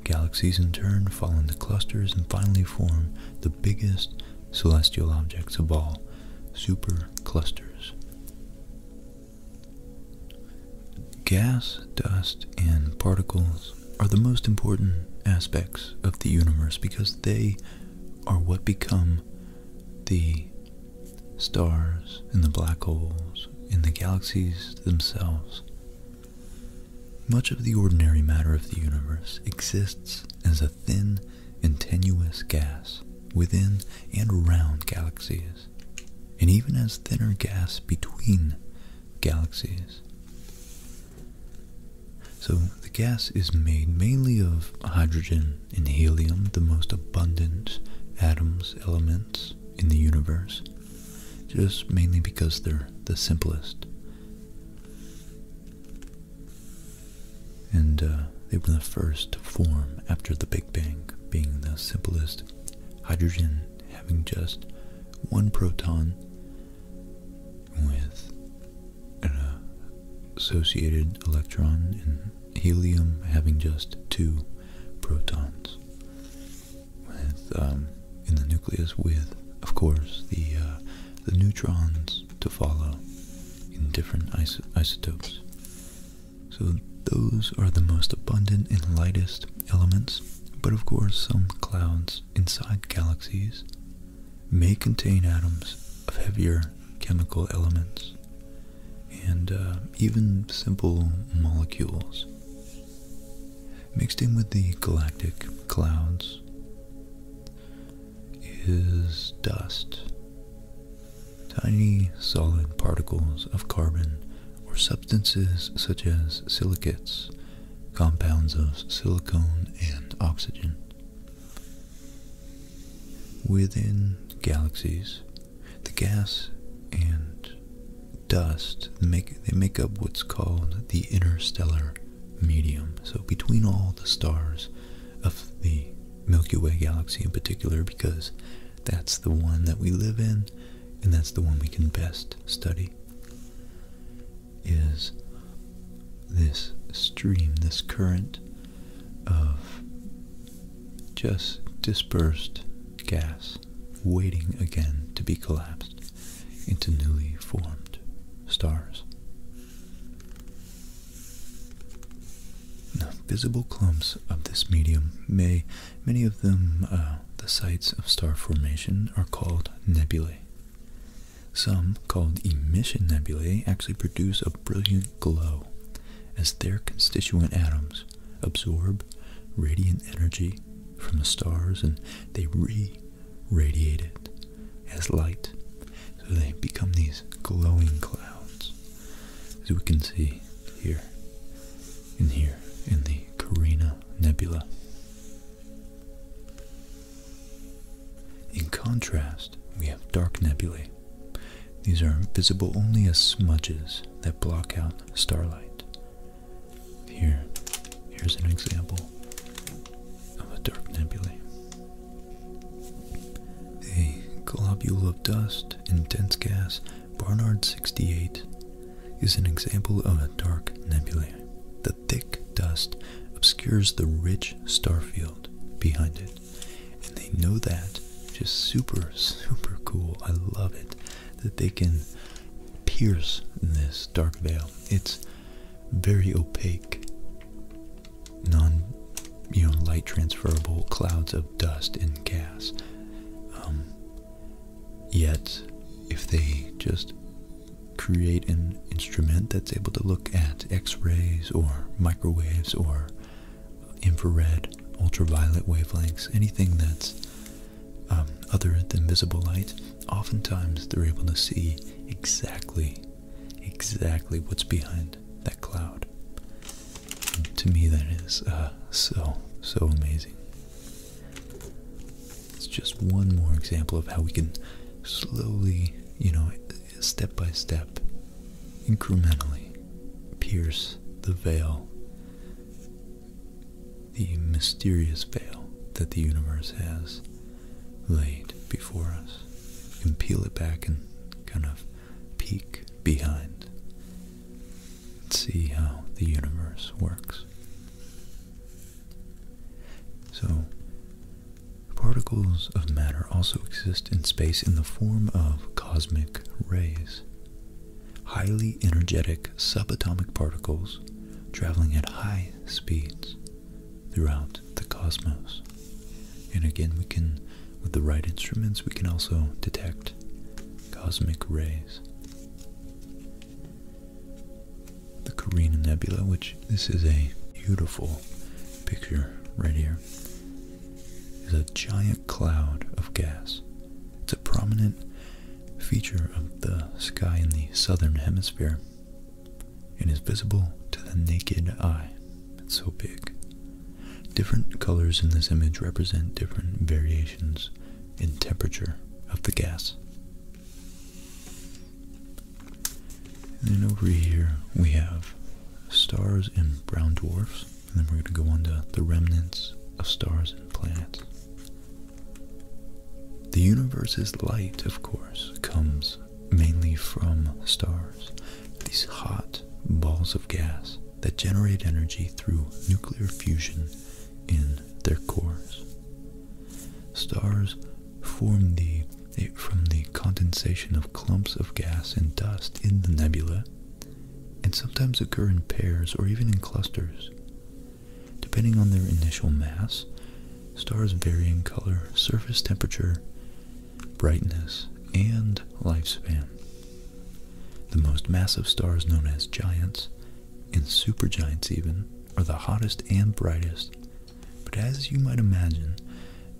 Galaxies in turn fall into clusters and finally form the biggest celestial objects of all, superclusters. Gas, dust, and particles are the most important aspects of the universe because they are what become the stars and the black holes and the galaxies themselves. Much of the ordinary matter of the universe exists as a thin and tenuous gas within and around galaxies, and even as thinner gas between galaxies. So the gas is made mainly of hydrogen and helium, the most abundant atoms, elements in the universe, just mainly because they're the simplest. And uh, they were the first to form after the Big Bang, being the simplest. Hydrogen having just one proton with an associated electron and helium having just two protons with um, in the nucleus with of course the uh, the neutrons to follow in different isotopes so those are the most abundant and lightest elements but of course some clouds inside galaxies may contain atoms of heavier chemical elements and uh, even simple molecules mixed in with the galactic clouds is dust tiny solid particles of carbon or substances such as silicates compounds of silicon and oxygen Within galaxies, the gas and dust make they make up what's called the interstellar medium. So between all the stars of the Milky Way galaxy in particular, because that's the one that we live in, and that's the one we can best study is this stream, this current of just dispersed gas waiting again to be collapsed into newly formed stars. Now, visible clumps of this medium may, many of them, uh, the sites of star formation are called nebulae. Some, called emission nebulae, actually produce a brilliant glow as their constituent atoms absorb radiant energy from the stars and they re radiate it as light. So they become these glowing clouds, as we can see here and here in the Carina Nebula. In contrast, we have dark nebulae. These are visible only as smudges that block out starlight. Here, here's an example of a dark nebulae. A globule of dust and dense gas, Barnard 68, is an example of a dark nebulae. The thick dust obscures the rich starfield behind it. And they know that. Just super, super cool. I love it that they can pierce this dark veil. It's very opaque, non you know, light transferable clouds of dust and gas. Um, yet, if they just create an instrument that's able to look at X-rays or microwaves or infrared, ultraviolet wavelengths, anything that's um, other than visible light, oftentimes they're able to see exactly, exactly what's behind that cloud. to me, that is uh, so, so amazing. It's just one more example of how we can slowly, you know, step by step, incrementally pierce the veil, the mysterious veil that the universe has laid before us. and peel it back and kind of peek behind and see how the universe works. So, Particles of matter also exist in space in the form of cosmic rays. Highly energetic subatomic particles traveling at high speeds throughout the cosmos. And again, we can, with the right instruments, we can also detect cosmic rays. The Carina Nebula, which this is a beautiful picture right here is a giant cloud of gas. It's a prominent feature of the sky in the southern hemisphere and is visible to the naked eye. It's so big. Different colors in this image represent different variations in temperature of the gas. And then over here we have stars and brown dwarfs. And then we're going to go on to the remnants of stars and planets. The universe's light, of course, comes mainly from stars, these hot balls of gas that generate energy through nuclear fusion in their cores. Stars form the, from the condensation of clumps of gas and dust in the nebula and sometimes occur in pairs or even in clusters. Depending on their initial mass, stars vary in color, surface temperature, brightness, and lifespan. The most massive stars known as giants, and supergiants even, are the hottest and brightest but as you might imagine,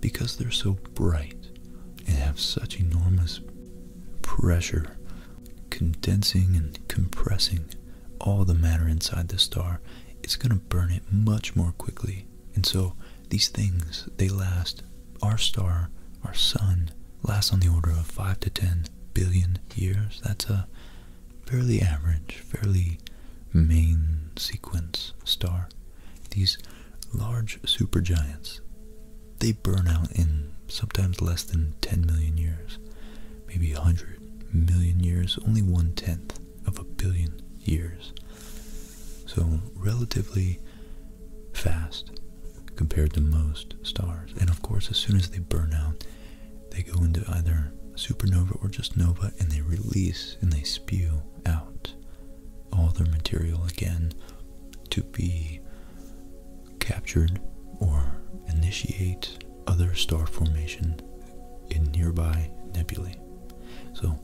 because they're so bright and have such enormous pressure condensing and compressing all the matter inside the star, it's going to burn it much more quickly. And so these things, they last, our star, our sun, lasts on the order of 5 to 10 billion years. That's a fairly average, fairly main sequence star. These large supergiants. They burn out in sometimes less than 10 million years, maybe 100 million years, only one tenth of a billion years. So, relatively fast compared to most stars. And of course, as soon as they burn out, they go into either supernova or just nova and they release and they spew out all their material again to be captured or initiate other star formation in nearby nebulae. So,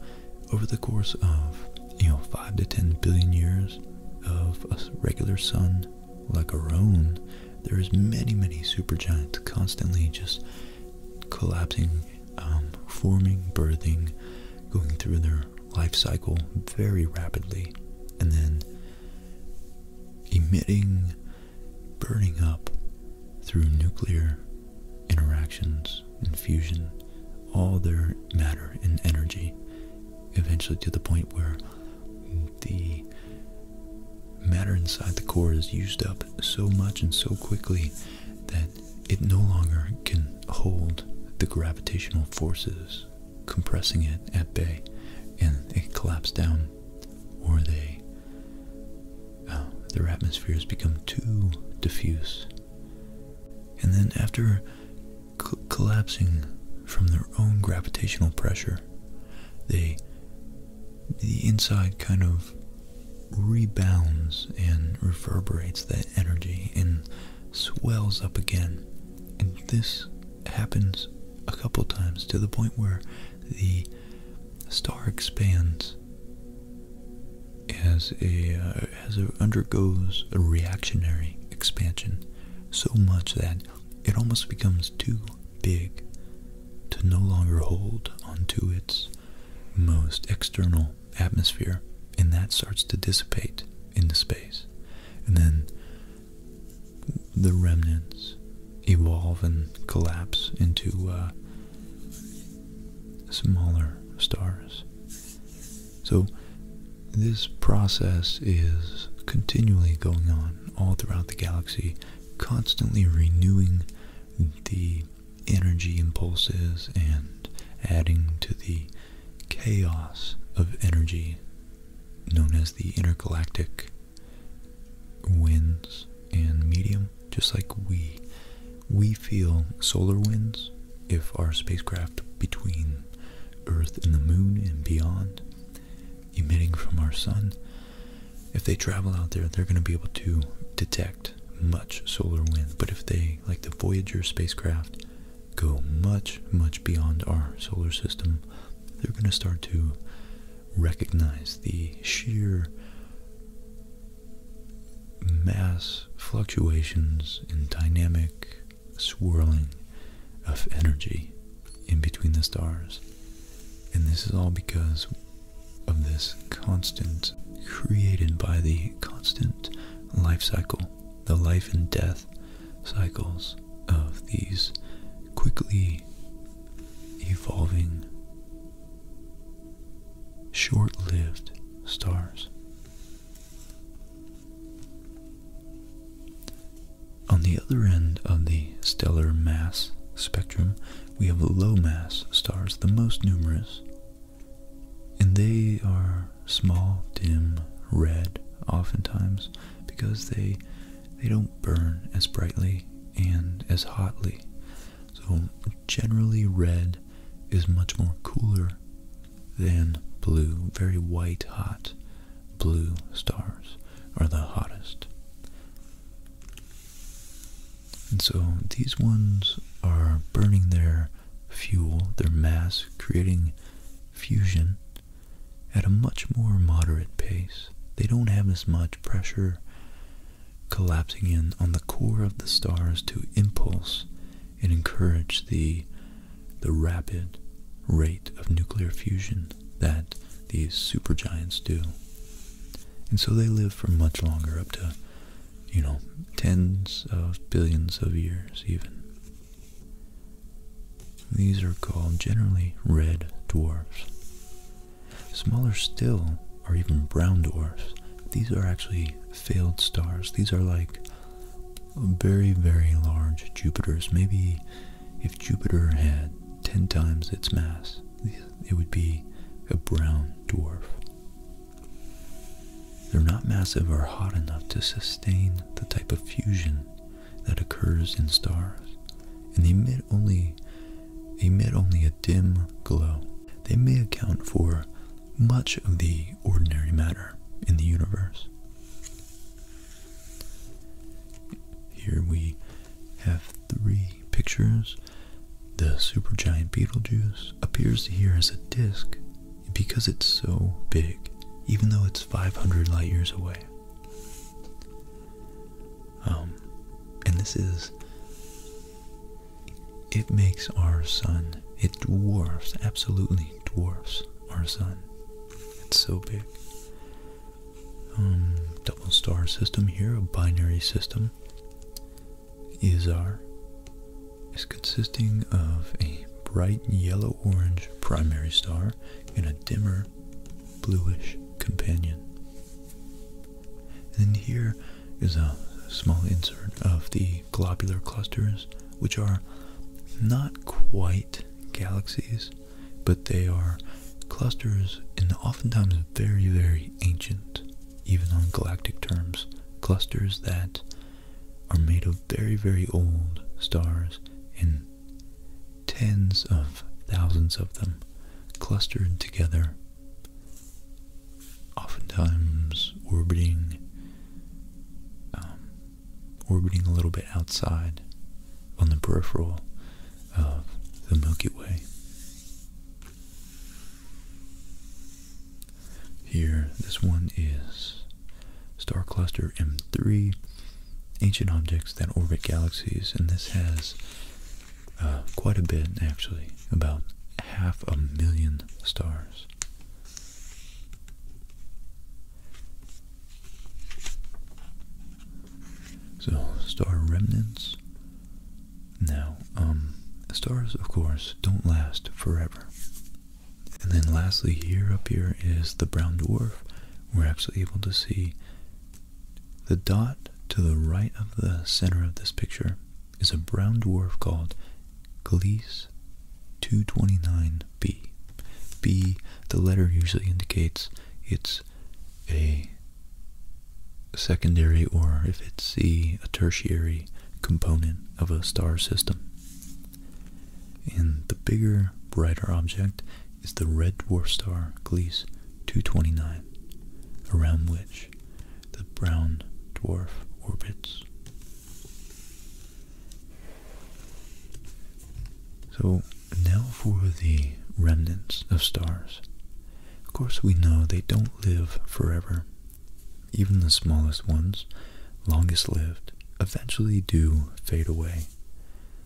over the course of you know five to ten billion years of a regular sun like our own, there is many many supergiants constantly just collapsing um, forming, birthing, going through their life cycle very rapidly, and then emitting, burning up through nuclear interactions and fusion, all their matter and energy, eventually to the point where the matter inside the core is used up so much and so quickly that it no longer can hold the gravitational forces compressing it at bay and it collapses down or they uh, their atmospheres become too diffuse and then after collapsing from their own gravitational pressure they the inside kind of rebounds and reverberates that energy and swells up again. And this happens a couple times to the point where the star expands as a uh, as it undergoes a reactionary expansion so much that it almost becomes too big to no longer hold onto its most external atmosphere, and that starts to dissipate into space. And then the remnants evolve and collapse into uh, smaller stars. So this process is continually going on all throughout the galaxy, constantly renewing the energy impulses and adding to the chaos of energy known as the intergalactic winds and medium, just like we. We feel solar winds if our spacecraft between Earth and the moon and beyond, emitting from our sun, if they travel out there, they're going to be able to detect much solar wind. But if they like the Voyager spacecraft, go much, much beyond our solar system, they're going to start to recognize the sheer mass fluctuations in dynamic swirling of energy in between the stars. And this is all because of this constant created by the constant life cycle, the life and death cycles of these quickly evolving, short lived stars. On the other end of the stellar mass spectrum, we have low mass stars, the most numerous and they are small, dim, red oftentimes because they they don't burn as brightly and as hotly. So generally red is much more cooler than blue. Very white hot blue stars are the hottest. And so these ones are burning there fuel their mass, creating fusion at a much more moderate pace. They don't have as much pressure collapsing in on the core of the stars to impulse and encourage the the rapid rate of nuclear fusion that these supergiants do. And so they live for much longer, up to you know, tens of billions of years even. These are called generally red dwarfs. Smaller still are even brown dwarfs. These are actually failed stars. These are like very, very large Jupiters. Maybe if Jupiter had 10 times its mass, it would be a brown dwarf. They're not massive or hot enough to sustain the type of fusion that occurs in stars, and they emit only, they emit only a dim glow. They may account for much of the ordinary matter in the universe. Here we have three pictures. The supergiant Betelgeuse appears here as a disk because it's so big, even though it's 500 light years away. Um, and this is, it makes our sun, it dwarfs, absolutely dwarfs our sun. It's so big. Um, double star system here, a binary system. Izar is consisting of a bright yellow-orange primary star and a dimmer bluish companion. And here is a small insert of the globular clusters, which are not quite galaxies, but they are clusters and oftentimes very, very ancient, even on galactic terms. Clusters that are made of very, very old stars and tens of thousands of them clustered together, oftentimes orbiting. Um, orbiting a little bit outside on the peripheral of the Milky Way here. This one is star cluster M3, ancient objects that orbit galaxies, and this has uh, quite a bit actually, about half a million stars. So, star remnants. Now, um, stars, of course, don't last forever. And then lastly here up here is the brown dwarf. We're actually able to see the dot to the right of the center of this picture is a brown dwarf called Gliese 229b. B, the letter usually indicates it's a secondary or if it's C, a tertiary component of a star system. And the bigger, brighter object is the red dwarf star Gliese 229, around which the brown dwarf orbits. So now for the remnants of stars. Of course, we know they don't live forever even the smallest ones, longest lived, eventually do fade away.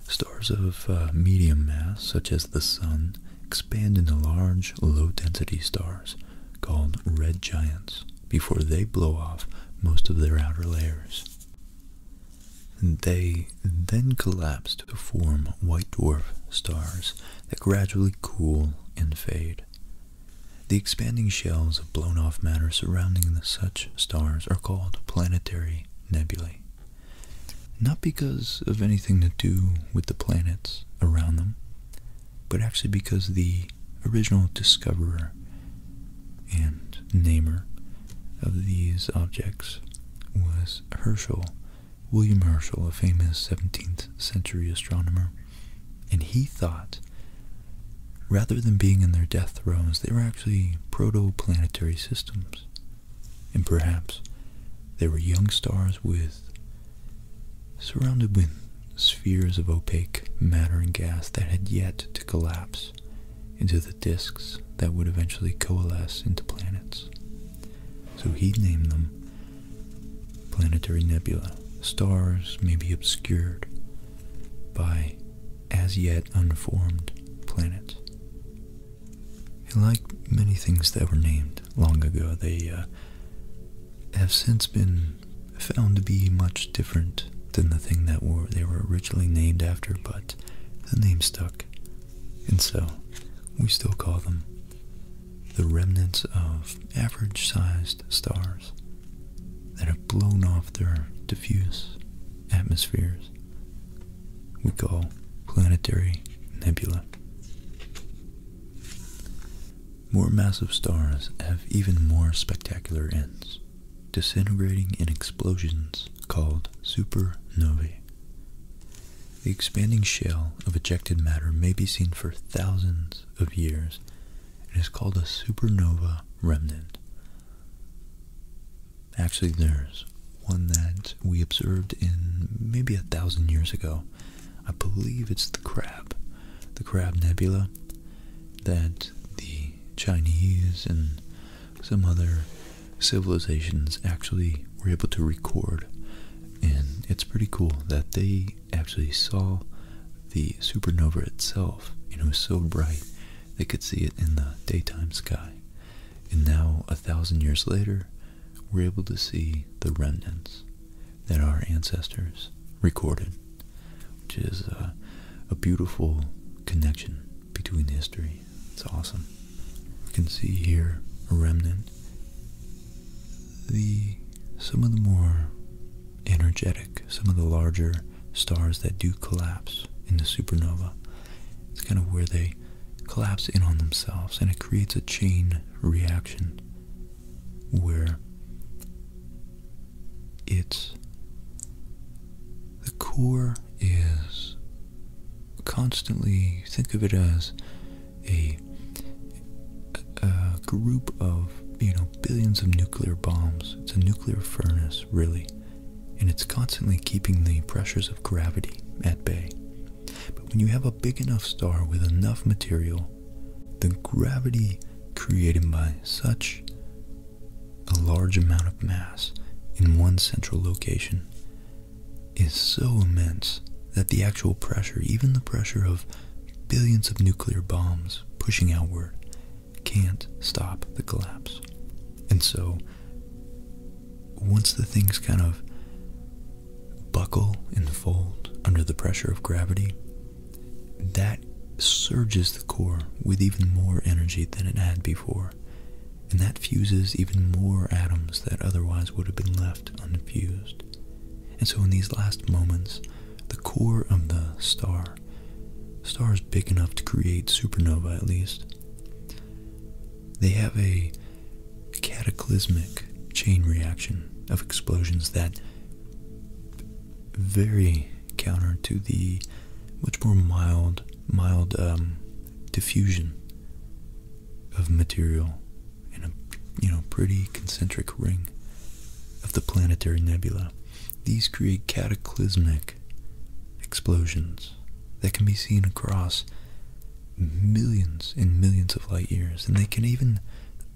Stars of uh, medium mass, such as the Sun, expand into large, low-density stars called red giants before they blow off most of their outer layers. They then collapse to form white dwarf stars that gradually cool and fade. The expanding shells of blown off matter surrounding such stars are called planetary nebulae, not because of anything to do with the planets around them, but actually because the original discoverer and namer of these objects was Herschel, William Herschel, a famous 17th century astronomer and he thought, rather than being in their death throes, they were actually protoplanetary systems. And perhaps they were young stars with surrounded with spheres of opaque matter and gas that had yet to collapse into the disks that would eventually coalesce into planets. So he named them planetary nebula, stars maybe obscured by as yet unformed planets. like many things that were named long ago, they uh, have since been found to be much different than the thing that were they were originally named after, but the name stuck, and so we still call them the remnants of average-sized stars that have blown off their diffuse atmospheres we call planetary nebula. More massive stars have even more spectacular ends, disintegrating in explosions called supernovae. The expanding shell of ejected matter may be seen for thousands of years it is called a supernova remnant. Actually, there's one that we observed in maybe a thousand years ago. I believe it's the Crab, the Crab Nebula, that the Chinese and some other civilizations actually were able to record. And it's pretty cool that they actually saw the supernova itself, and it was so bright they could see it in the daytime sky. And now, a thousand years later, we're able to see the remnants that our ancestors recorded, which is a beautiful connection between history. It's awesome. You can see here a remnant. The some of the more energetic, some of the larger stars that do collapse in the supernova. It's kind of where they collapse in on themselves and it creates a chain reaction where it's the core is constantly think of it as a, a group of you know billions of nuclear bombs. It's a nuclear furnace, really, and it's constantly keeping the pressures of gravity at bay. But when you have a big enough star with enough material, the gravity created by such a large amount of mass in one central location is so immense that the actual pressure, even the pressure of billions of nuclear bombs pushing outward, can't stop the collapse. And so, once the things kind of buckle and fold under the pressure of gravity, that surges the core with even more energy than it had before. And that fuses even more atoms that otherwise would have been left unfused. And so, in these last moments, the core of the star Stars big enough to create supernovae, at least. They have a cataclysmic chain reaction of explosions that very counter to the much more mild, mild um, diffusion of material in a you know pretty concentric ring of the planetary nebula. These create cataclysmic explosions that can be seen across millions and millions of light years, and they can even,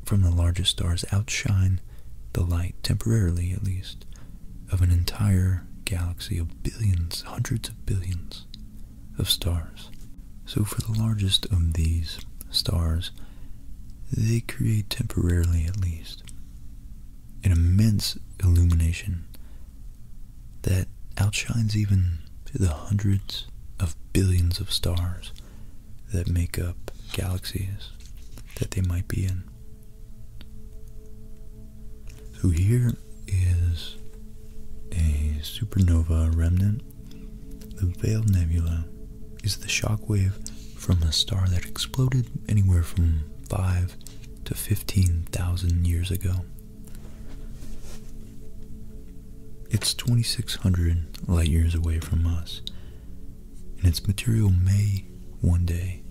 from the largest stars, outshine the light, temporarily at least, of an entire galaxy of billions, hundreds of billions of stars. So, for the largest of these stars, they create temporarily at least an immense illumination that outshines even the hundreds of billions of stars that make up galaxies that they might be in. So here is a supernova remnant. The Veil Nebula is the shockwave from a star that exploded anywhere from 5 to 15,000 years ago. It's 2,600 light years away from us, and its material may one day.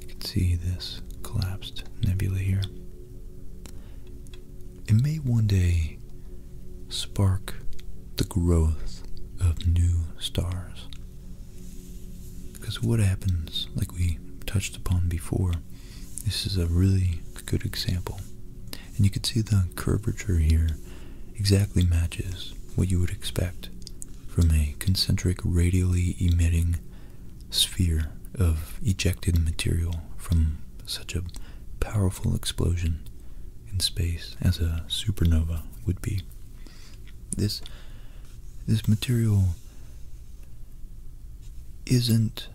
You can see this collapsed nebula here. It may one day spark the growth of new stars because what happens, like we touched upon before, this is a really good example. And you can see the curvature here exactly matches what you would expect from a concentric radially emitting sphere of ejected material from such a powerful explosion in space as a supernova would be. This this material isn't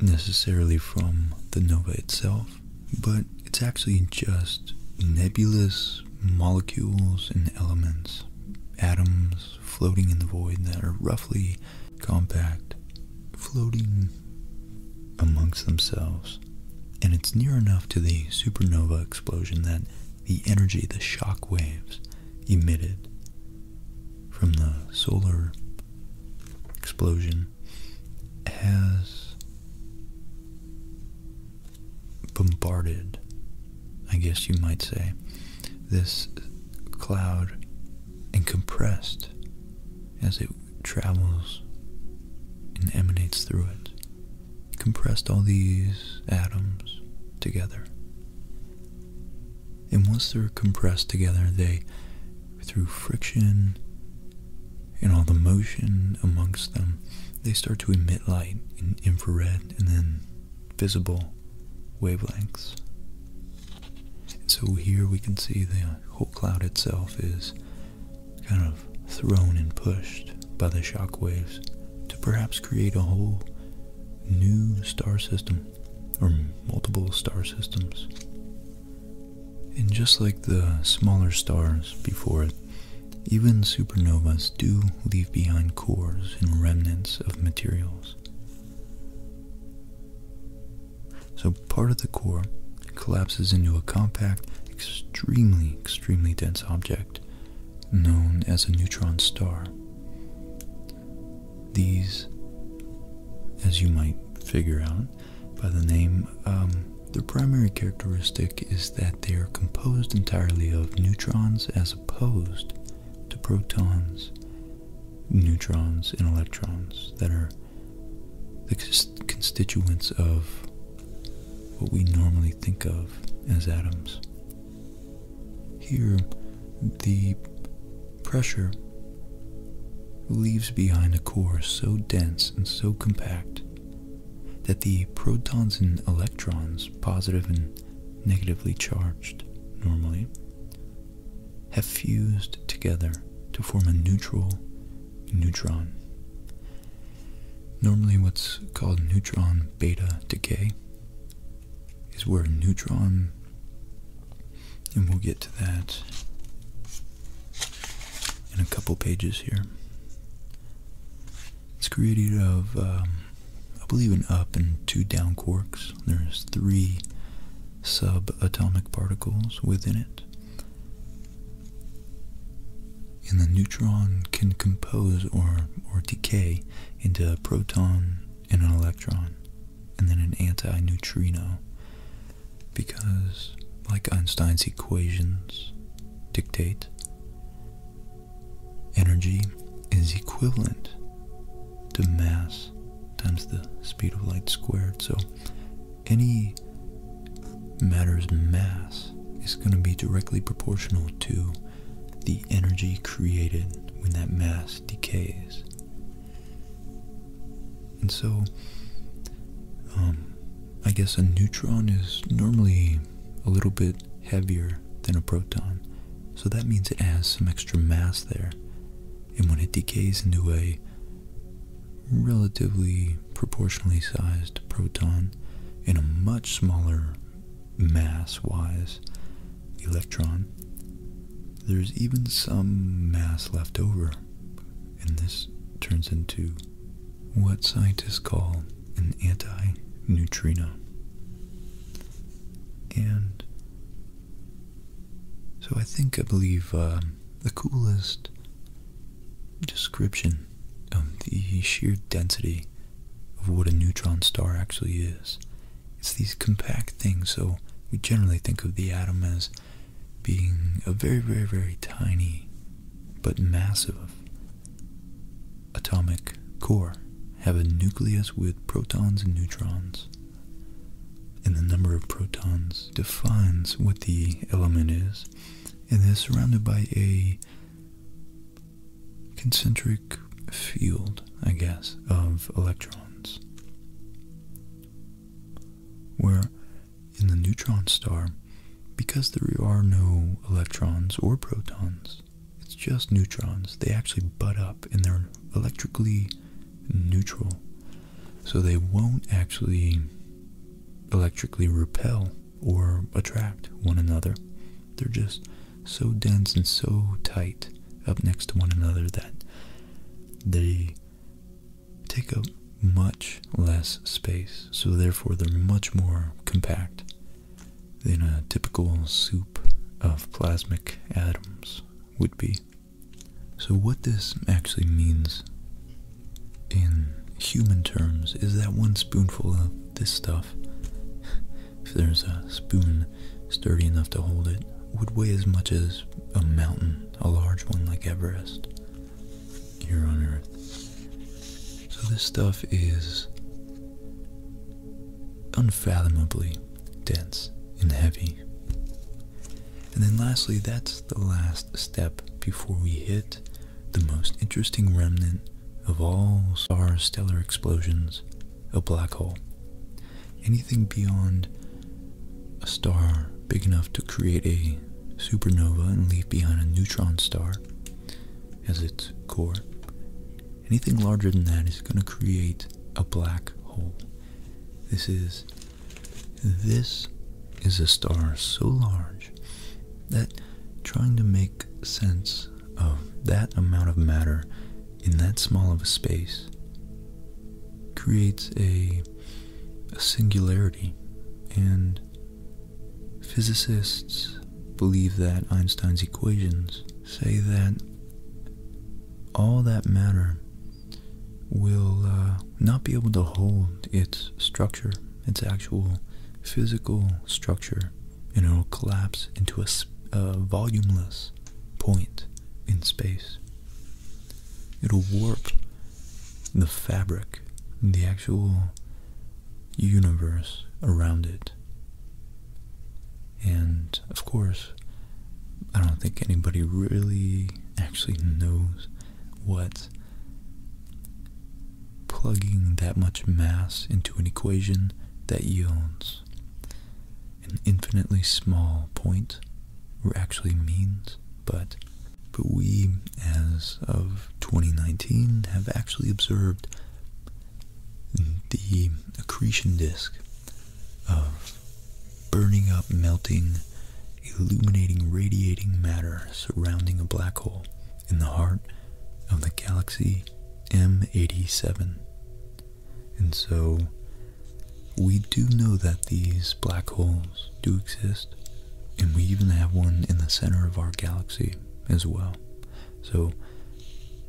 necessarily from the nova itself, but it's actually just nebulous molecules and elements, atoms floating in the void that are roughly compact, floating amongst themselves. And it's near enough to the supernova explosion that the energy, the shock waves emitted from the solar explosion has bombarded, I guess you might say, this cloud and compressed as it travels and emanates through it compressed all these atoms together. And once they're compressed together, they, through friction and all the motion amongst them, they start to emit light in infrared and then visible wavelengths. so here we can see the whole cloud itself is kind of thrown and pushed by the shock waves to perhaps create a whole new star system or multiple star systems. And just like the smaller stars before it, even supernovas do leave behind cores and remnants of materials. So part of the core collapses into a compact, extremely, extremely dense object known as a neutron star. These, as you might figure out by the name, um, their primary characteristic is that they are composed entirely of neutrons as opposed to protons, neutrons, and electrons that are the constituents of what we normally think of as atoms. Here, the pressure leaves behind a core so dense and so compact that the protons and electrons, positive and negatively charged normally, have fused together to form a neutral neutron. Normally, what's called neutron beta decay is where a neutron, and we'll get to that in a couple pages here. It's created of, um, I believe, an up and two down quarks. There's three subatomic particles within it and the neutron can compose or, or decay into a proton and an electron, and then an antineutrino, because, like Einstein's equations dictate, energy is equivalent to mass times the speed of light squared. So any matter's mass is going to be directly proportional to the energy created when that mass decays. And so, um, I guess a neutron is normally a little bit heavier than a proton, so that means it has some extra mass there. And when it decays into a relatively proportionally sized proton in a much smaller mass wise electron, there's even some mass left over, and this turns into what scientists call an anti neutrino. And so I think I believe uh, the coolest description um, the sheer density of what a neutron star actually is. It's these compact things, so we generally think of the atom as being a very, very, very tiny but massive atomic core. Have a nucleus with protons and neutrons. And the number of protons defines what the element is. And is surrounded by a concentric field, I guess, of electrons. Where in the neutron star, because there are no electrons or protons, it's just neutrons. They actually butt up and they're electrically neutral. So they won't actually electrically repel or attract one another. They're just so dense and so tight up next to one another that they take up much less space, so therefore they're much more compact than a typical soup of plasmic atoms would be. So what this actually means in human terms is that one spoonful of this stuff if there's a spoon sturdy enough to hold it, would weigh as much as a mountain, a large one like Everest here on Earth. So this stuff is unfathomably dense and heavy. And then lastly, that's the last step before we hit the most interesting remnant of all star stellar explosions, a black hole. Anything beyond a star big enough to create a supernova and leave behind a neutron star as its core. Anything larger than that is going to create a black hole. This is this is a star so large that trying to make sense of that amount of matter in that small of a space creates a, singularity. And physicists believe that Einstein's equations say that all that matter will uh, not be able to hold its structure, its actual physical structure and it'll collapse into a, volumeless point in space. It'll warp the fabric, the actual universe around it. And of course, I don't think anybody really actually knows what plugging that much mass into an equation that yields an infinitely small point actually means, but but we, as of 2019, have actually observed the accretion disk of burning up, melting, illuminating, radiating matter surrounding a black hole in the heart of the galaxy M87. And so we do know that these black holes do exist, and we even have one in the center of our galaxy as well. So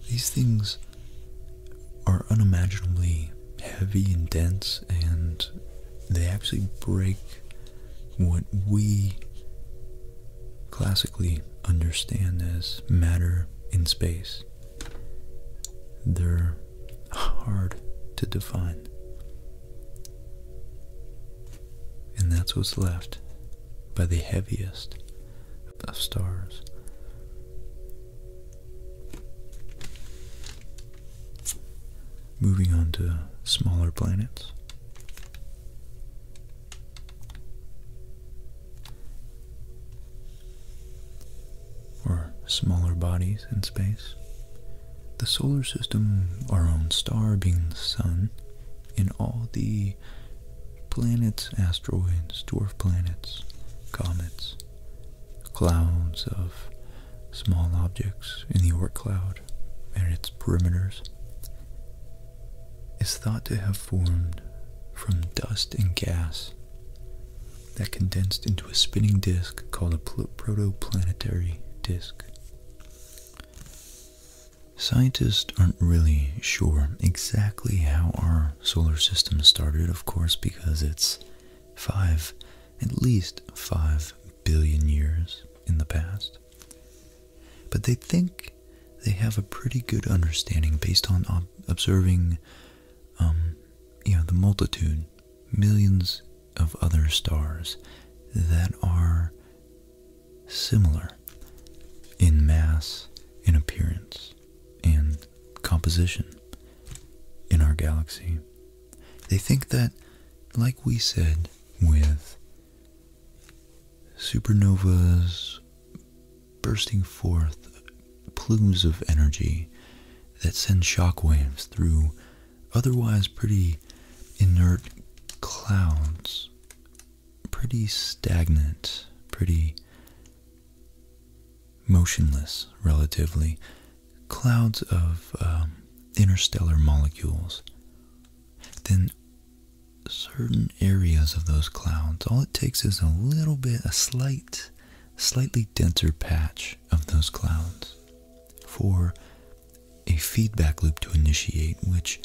these things are unimaginably heavy and dense, and they actually break what we classically understand as matter in space. They're hard to define. And that's what's left by the heaviest of stars. Moving on to smaller planets or smaller bodies in space. The solar system, our own star being the sun, and all the planets, asteroids, dwarf planets, comets, clouds of small objects in the Oort cloud and its perimeters, is thought to have formed from dust and gas that condensed into a spinning disk called a protoplanetary disk. Scientists aren't really sure exactly how our solar system started, of course, because it's five, at least five billion years in the past but they think they have a pretty good understanding based on observing, um, you know, the multitude, millions of other stars that are similar in mass, in appearance, and composition in our galaxy. They think that, like we said, with supernovas, bursting forth plumes of energy that send shockwaves through otherwise pretty inert clouds, pretty stagnant, pretty motionless, relatively, clouds of um, interstellar molecules. Then certain areas of those clouds. All it takes is a little bit, a slight, slightly denser patch of those clouds for a feedback loop to initiate, which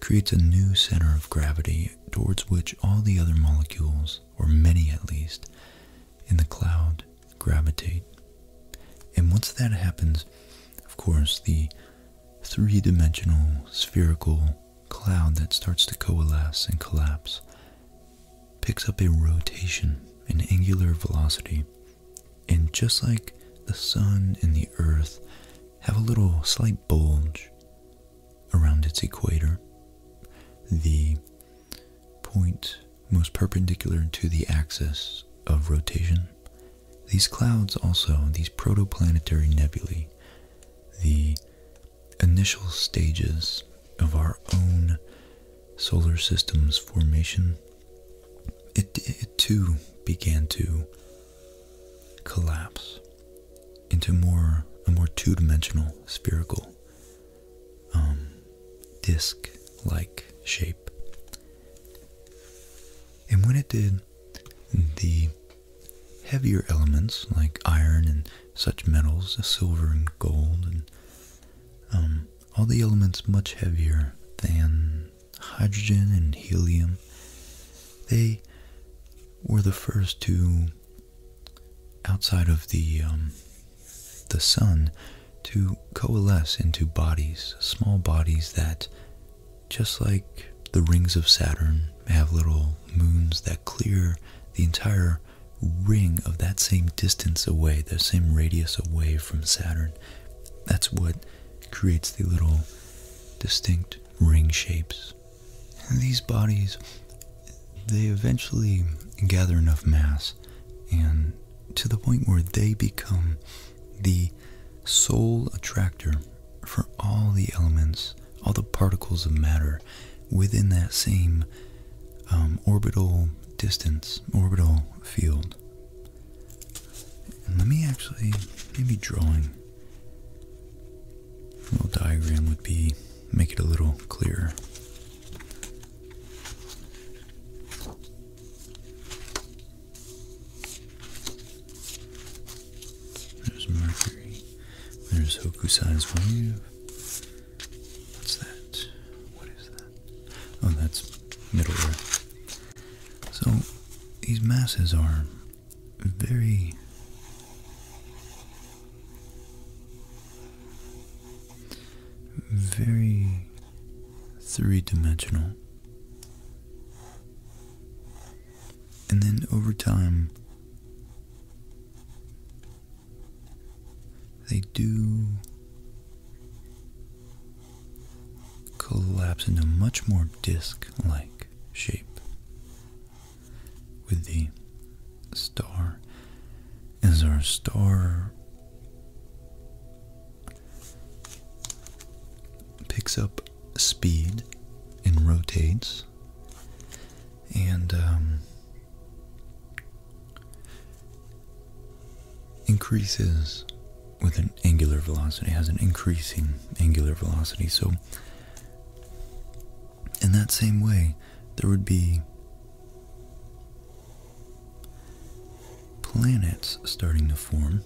creates a new center of gravity towards which all the other molecules, or many at least, in the cloud gravitate. And once that happens, of course, the three-dimensional spherical cloud that starts to coalesce and collapse picks up a rotation, an angular velocity, and just like the sun and the earth have a little slight bulge around its equator, the point most perpendicular to the axis of rotation. These clouds also, these protoplanetary nebulae, the initial stages of our own solar system's formation, it, too began to collapse into more a more two-dimensional spherical um, disc-like shape. And when it did, the heavier elements like iron and such metals, silver and gold, and um, all the elements much heavier than hydrogen and helium, they were the first to, outside of the um, the sun, to coalesce into bodies, small bodies that, just like the rings of Saturn have little moons that clear the entire ring of that same distance away, the same radius away from Saturn. That's what creates the little distinct ring shapes. these bodies, they eventually gather enough mass and to the point where they become the sole attractor for all the elements, all the particles of matter within that same um, orbital distance, orbital field. let me actually, maybe drawing a little diagram would be, make it a little clearer. There's Mercury. There's Hokusai's wave. What's that? What is that? Oh, that's Middle Earth. So, these masses are very very three-dimensional and then over time, they do collapse into much more disc-like shape with the star as our star picks up speed and rotates and um, increases with an angular velocity, has an increasing angular velocity. So, in that same way, there would be planets starting to form.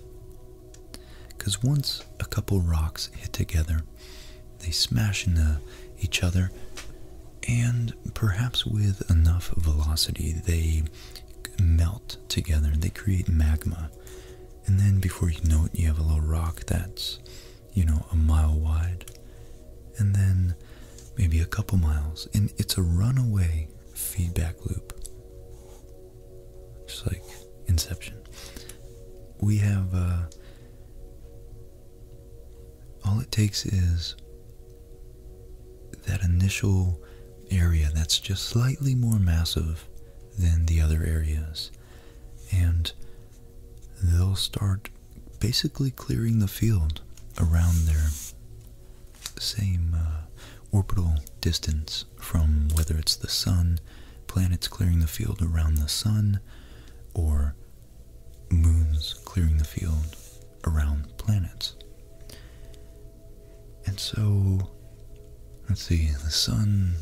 Because once a couple rocks hit together, they smash into each other, and perhaps with enough velocity, they melt together. They create magma, and then before you know it, you have a little rock that's, you know, a mile wide, and then maybe a couple miles, and it's a runaway feedback loop, just like Inception. We have. Uh, all it takes is that initial area that's just slightly more massive than the other areas, and they'll start basically clearing the field around their same uh, orbital distance from whether it's the sun, planets clearing the field around the sun, or moons clearing the field around planets. And so, let's see, the sun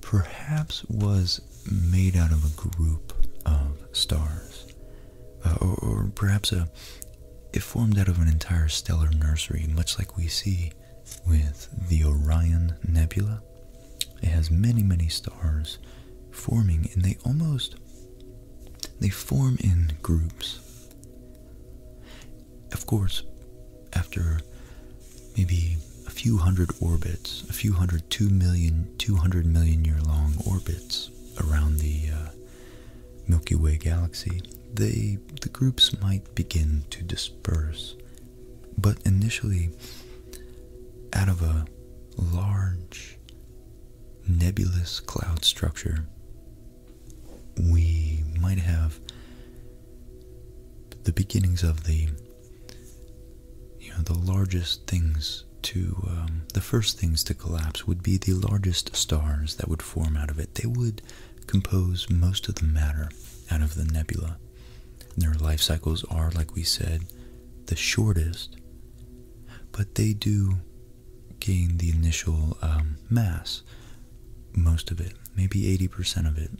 perhaps was made out of a group of stars, uh, or, or perhaps a, uh, it formed out of an entire stellar nursery, much like we see with the Orion Nebula it has many, many stars forming, and they almost they form in groups. Of course, after maybe a few hundred orbits, a few hundred, two million, 200 million year long orbits around the uh, Milky Way galaxy, they the groups might begin to disperse but initially, out of a large nebulous cloud structure, we might have the beginnings of the you know the largest things to um, the first things to collapse would be the largest stars that would form out of it. They would compose most of the matter out of the nebula their life cycles are, like we said, the shortest, but they do gain the initial um, mass, most of it, maybe 80% of it.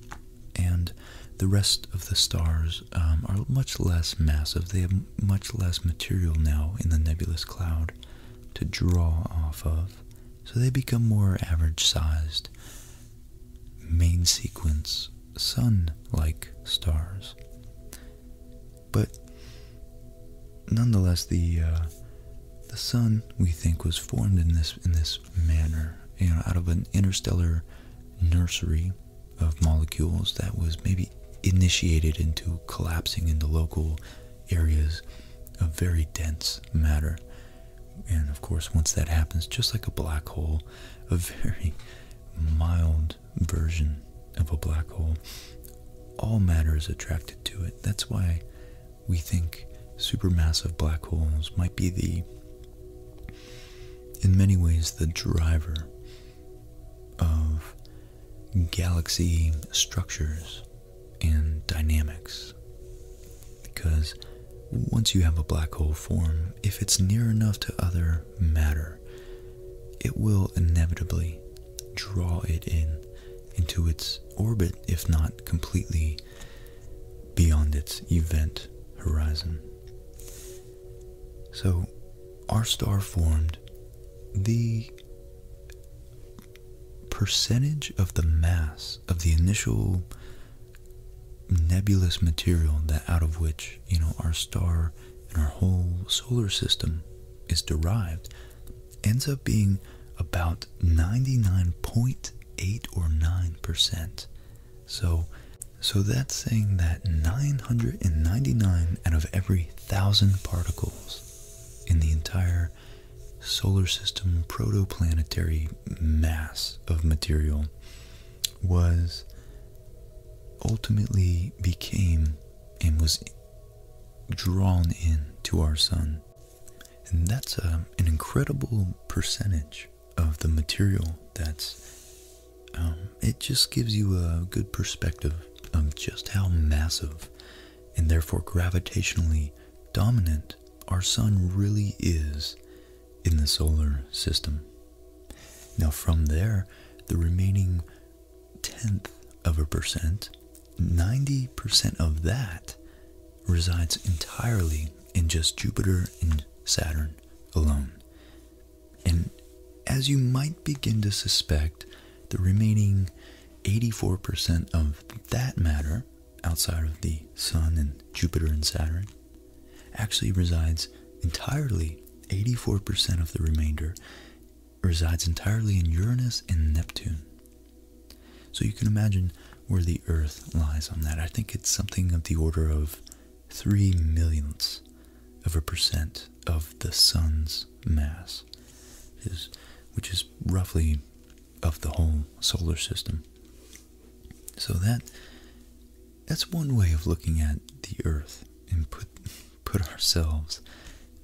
And the rest of the stars um, are much less massive. They have much less material now in the nebulous cloud to draw off of. So they become more average sized. Main sequence sun-like stars. But nonetheless, the uh, the sun we think was formed in this in this manner, you know, out of an interstellar nursery of molecules that was maybe initiated into collapsing into local areas of very dense matter. And of course, once that happens, just like a black hole, a very mild version of a black hole. All matter is attracted to it. That's why we think supermassive black holes might be the, in many ways, the driver of galaxy structures and dynamics. Because once you have a black hole form, if it's near enough to other matter, it will inevitably draw it in into its orbit, if not completely beyond its event horizon. So, our star formed the percentage of the mass of the initial nebulous material that out of which you know our star and our whole solar system is derived ends up being about 99.8 or 9%. So so that's saying that 999 out of every 1000 particles in the entire solar system protoplanetary mass of material was ultimately became and was drawn in to our sun. And that's uh, an incredible percentage of the material that's. Um, it just gives you a good perspective of just how massive and therefore gravitationally dominant our sun really is in the solar system. Now, from there, the remaining tenth of a percent, 90% of that resides entirely in just Jupiter and Saturn alone. And as you might begin to suspect, the remaining 84% of that matter outside of the Sun and Jupiter and Saturn actually resides entirely 84% of the remainder resides entirely in Uranus and Neptune. So you can imagine where the Earth lies on that. I think it's something of the order of three millionths of a percent of the Sun's mass, which is roughly of the whole solar system. So that that's one way of looking at the earth and put put ourselves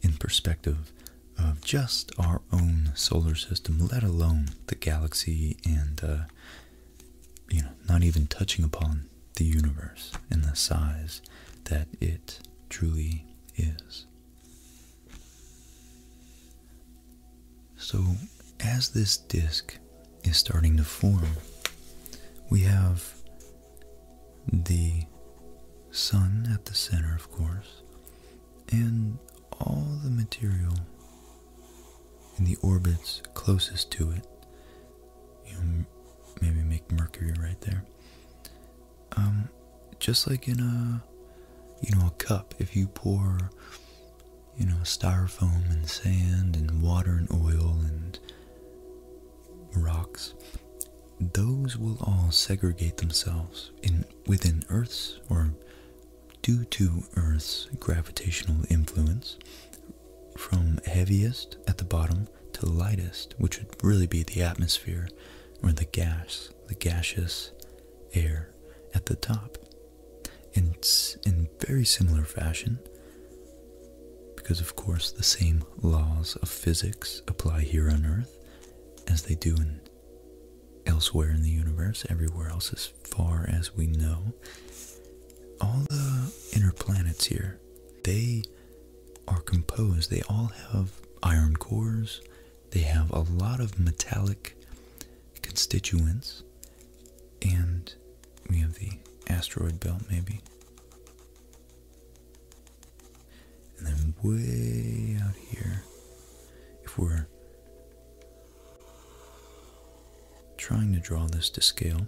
in perspective of just our own solar system, let alone the galaxy and uh, you know, not even touching upon the universe and the size that it truly is. So, as this disk is starting to form. We have the sun at the center, of course, and all the material in the orbits closest to it. maybe make Mercury right there. Um, just like in a, you know, a cup. If you pour, you know, styrofoam and sand and water and oil and rocks, those will all segregate themselves in, within Earth's or due to Earth's gravitational influence from heaviest at the bottom to lightest, which would really be the atmosphere or the gas, the gaseous air at the top. In, in very similar fashion, because, of course, the same laws of physics apply here on Earth as they do in elsewhere in the universe, everywhere else as far as we know. All the inner planets here, they are composed, they all have iron cores, they have a lot of metallic constituents, and we have the asteroid belt maybe and then way out here, if we're trying to draw this to scale,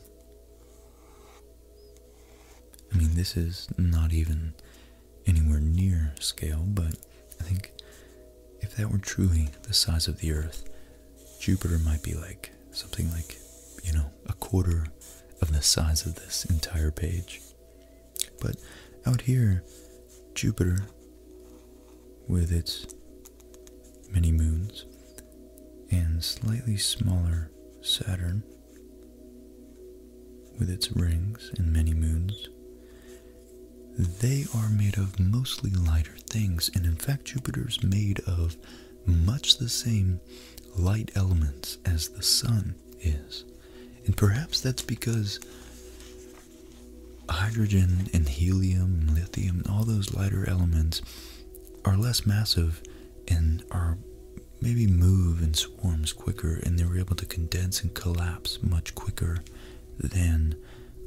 I mean, this is not even anywhere near scale, but I think if that were truly the size of the Earth, Jupiter might be like something like, you know, a quarter of the size of this entire page. But out here, Jupiter, with its many moons, and slightly smaller Saturn, with its rings and many moons, they are made of mostly lighter things, and in fact, Jupiter is made of much the same light elements as the sun is. And perhaps that's because hydrogen and helium and lithium, and all those lighter elements, are less massive and are maybe move in swarms quicker and they are able to condense and collapse much quicker than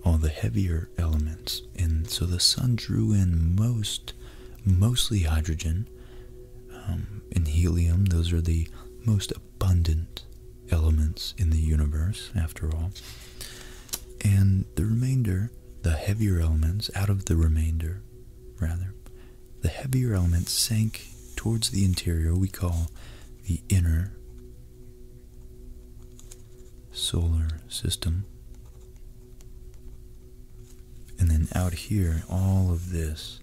all the heavier elements. And so the sun drew in most mostly hydrogen um, and helium. Those are the most abundant elements in the universe, after all. And the remainder, the heavier elements, out of the remainder, rather, the heavier elements sank towards the interior we call the inner solar system and then out here, all of this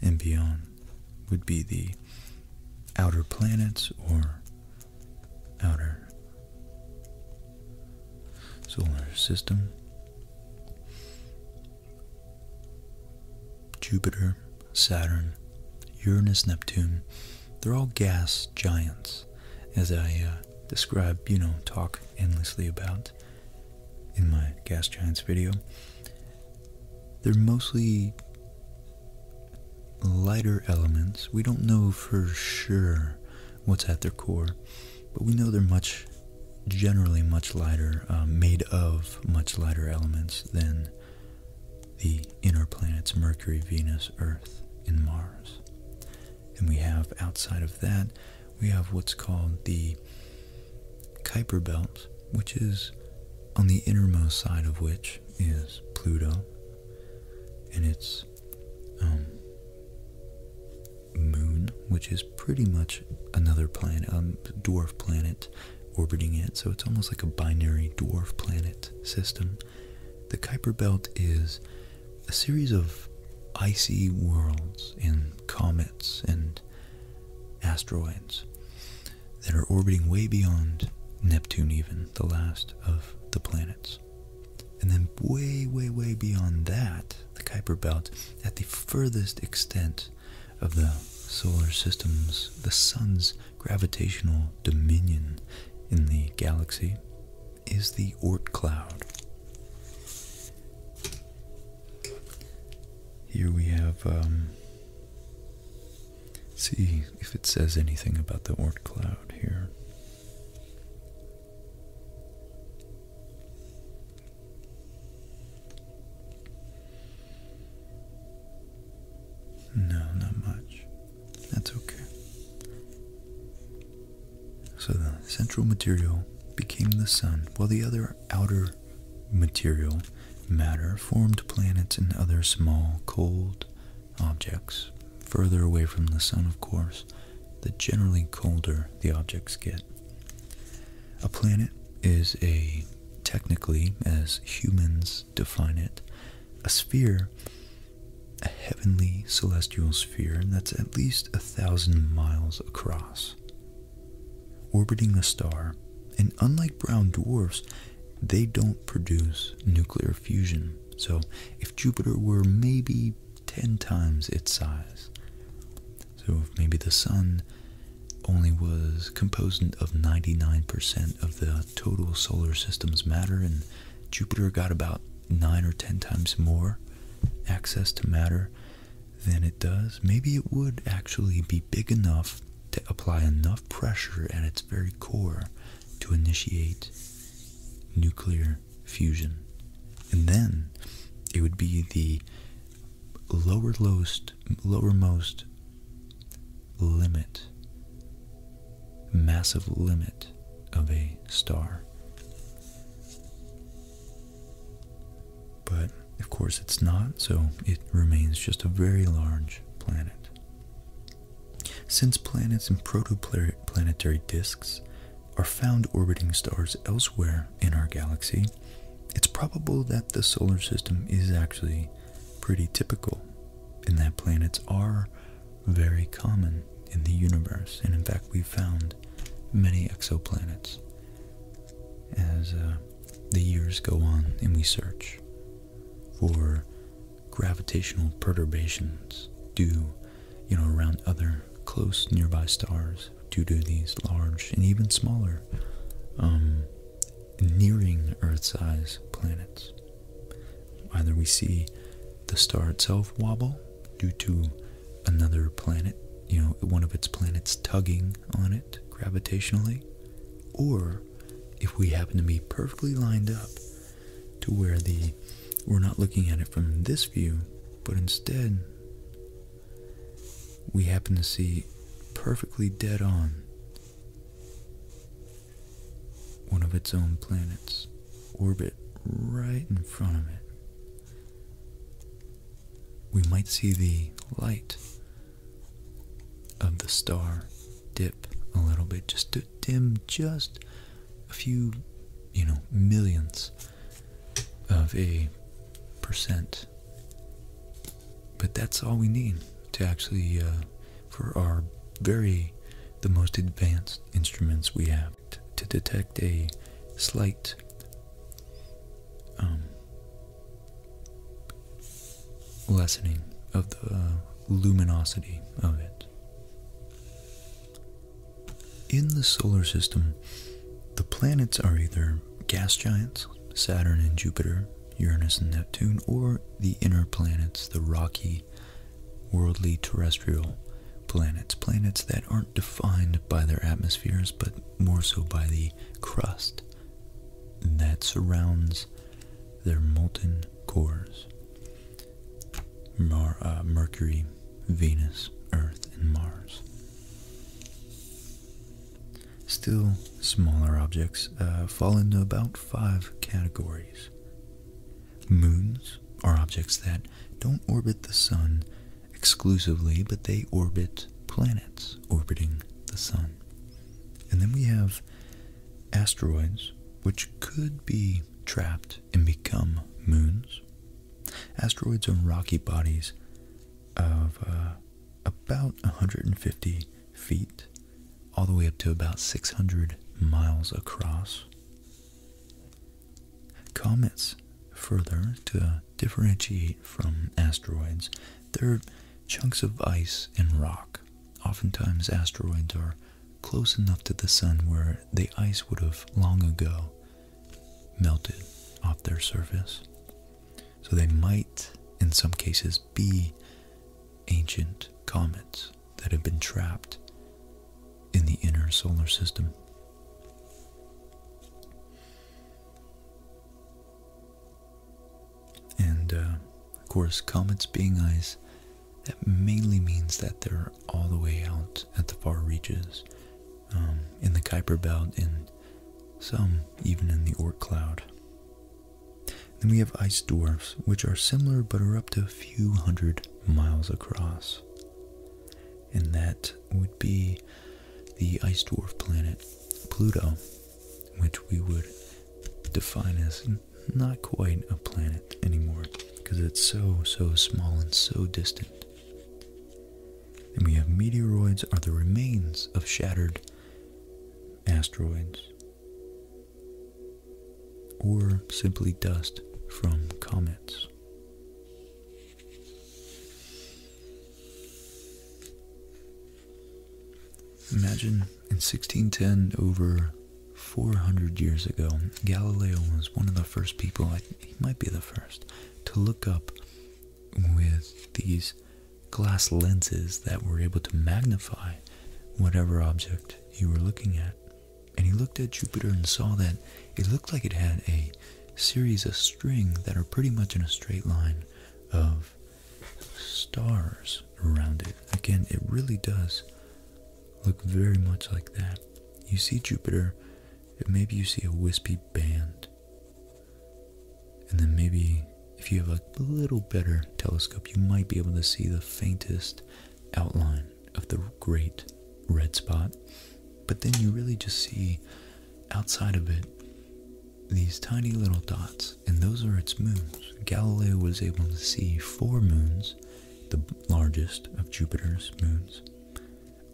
and beyond would be the outer planets or outer solar system. Jupiter, Saturn, Uranus, Neptune, they're all gas giants, as I uh, describe, you know, talk endlessly about in my Gas Giants video. They're mostly lighter elements. We don't know for sure what's at their core, but we know they're much, generally much lighter, uh, made of much lighter elements than the inner planets Mercury, Venus, Earth, and Mars. And we have outside of that, we have what's called the Kuiper Belt, which is on the innermost side of which is Pluto and its um, moon, which is pretty much another planet, a dwarf planet orbiting it. So it's almost like a binary dwarf planet system. The Kuiper Belt is a series of icy worlds and comets and asteroids that are orbiting way beyond Neptune, even the last of the planets. And then, way, way, way beyond that, the Kuiper Belt, at the furthest extent of the solar system's, the sun's gravitational dominion in the galaxy, is the Oort cloud. Here we have, um, see if it says anything about the Oort cloud here. No, not much. That's okay. So the central material became the sun, while the other outer material, matter, formed planets and other small, cold objects. Further away from the sun, of course, the generally colder the objects get. A planet is a, technically, as humans define it, a sphere a heavenly celestial sphere that's at least a thousand miles across. Orbiting a star, and unlike brown dwarfs, they don't produce nuclear fusion. So, if Jupiter were maybe 10 times its size, so if maybe the Sun only was composed of 99% of the total solar system's matter, and Jupiter got about 9 or 10 times more, access to matter than it does, maybe it would actually be big enough to apply enough pressure at its very core to initiate nuclear fusion. And then it would be the lower lowest, lowermost limit, massive limit of a star. But of course it's not, so it remains just a very large planet. Since planets and protoplanetary disks are found orbiting stars elsewhere in our galaxy, it's probable that the solar system is actually pretty typical, and that planets are very common in the universe, and in fact, we've found many exoplanets as uh, the years go on and we search for gravitational perturbations due, you know, around other close nearby stars due to these large and even smaller, um, nearing Earth-size planets. Either we see the star itself wobble due to another planet, you know, one of its planets tugging on it gravitationally, or if we happen to be perfectly lined up to where the we're not looking at it from this view, but instead we happen to see perfectly dead on one of its own planets orbit right in front of it. We might see the light of the star dip a little bit, just to dim just a few, you know, millions of a percent. But that's all we need to actually, uh, for our very, the most advanced instruments we have to detect a slight um, lessening of the uh, luminosity of it. In the solar system, the planets are either gas giants, Saturn and Jupiter, Uranus and Neptune, or the inner planets, the rocky worldly terrestrial planets, planets that aren't defined by their atmospheres but more so by the crust that surrounds their molten cores. Uh, Mercury, Venus, Earth, and Mars. Still smaller objects uh, fall into about five categories. Moons are objects that don't orbit the sun exclusively, but they orbit planets orbiting the sun. And then we have asteroids, which could be trapped and become moons. Asteroids are rocky bodies of uh, about 150 feet, all the way up to about 600 miles across. Comets, further, to differentiate from asteroids, they're chunks of ice and rock. Oftentimes, asteroids are close enough to the sun where the ice would have long ago melted off their surface. So they might, in some cases, be ancient comets that have been trapped in the inner solar system. And uh, of course, comets being ice, that mainly means that they're all the way out at the far reaches, um, in the Kuiper Belt, and some even in the Oort Cloud. Then we have ice dwarfs, which are similar but are up to a few hundred miles across and that would be the ice dwarf planet Pluto, which we would define as not quite a planet anymore because it's so, so small and so distant. And we have meteoroids are the remains of shattered asteroids or simply dust from comets. Imagine in 1610, over 400 years ago, Galileo was one of the first people, he might be the first, to look up with these glass lenses that were able to magnify whatever object you were looking at. And he looked at Jupiter and saw that it looked like it had a series of string that are pretty much in a straight line of stars around it. Again, it really does look very much like that. You see Jupiter, maybe you see a wispy band. And then maybe if you have a little better telescope, you might be able to see the faintest outline of the great red spot. But then you really just see outside of it these tiny little dots, and those are its moons. Galileo was able to see four moons, the largest of Jupiter's moons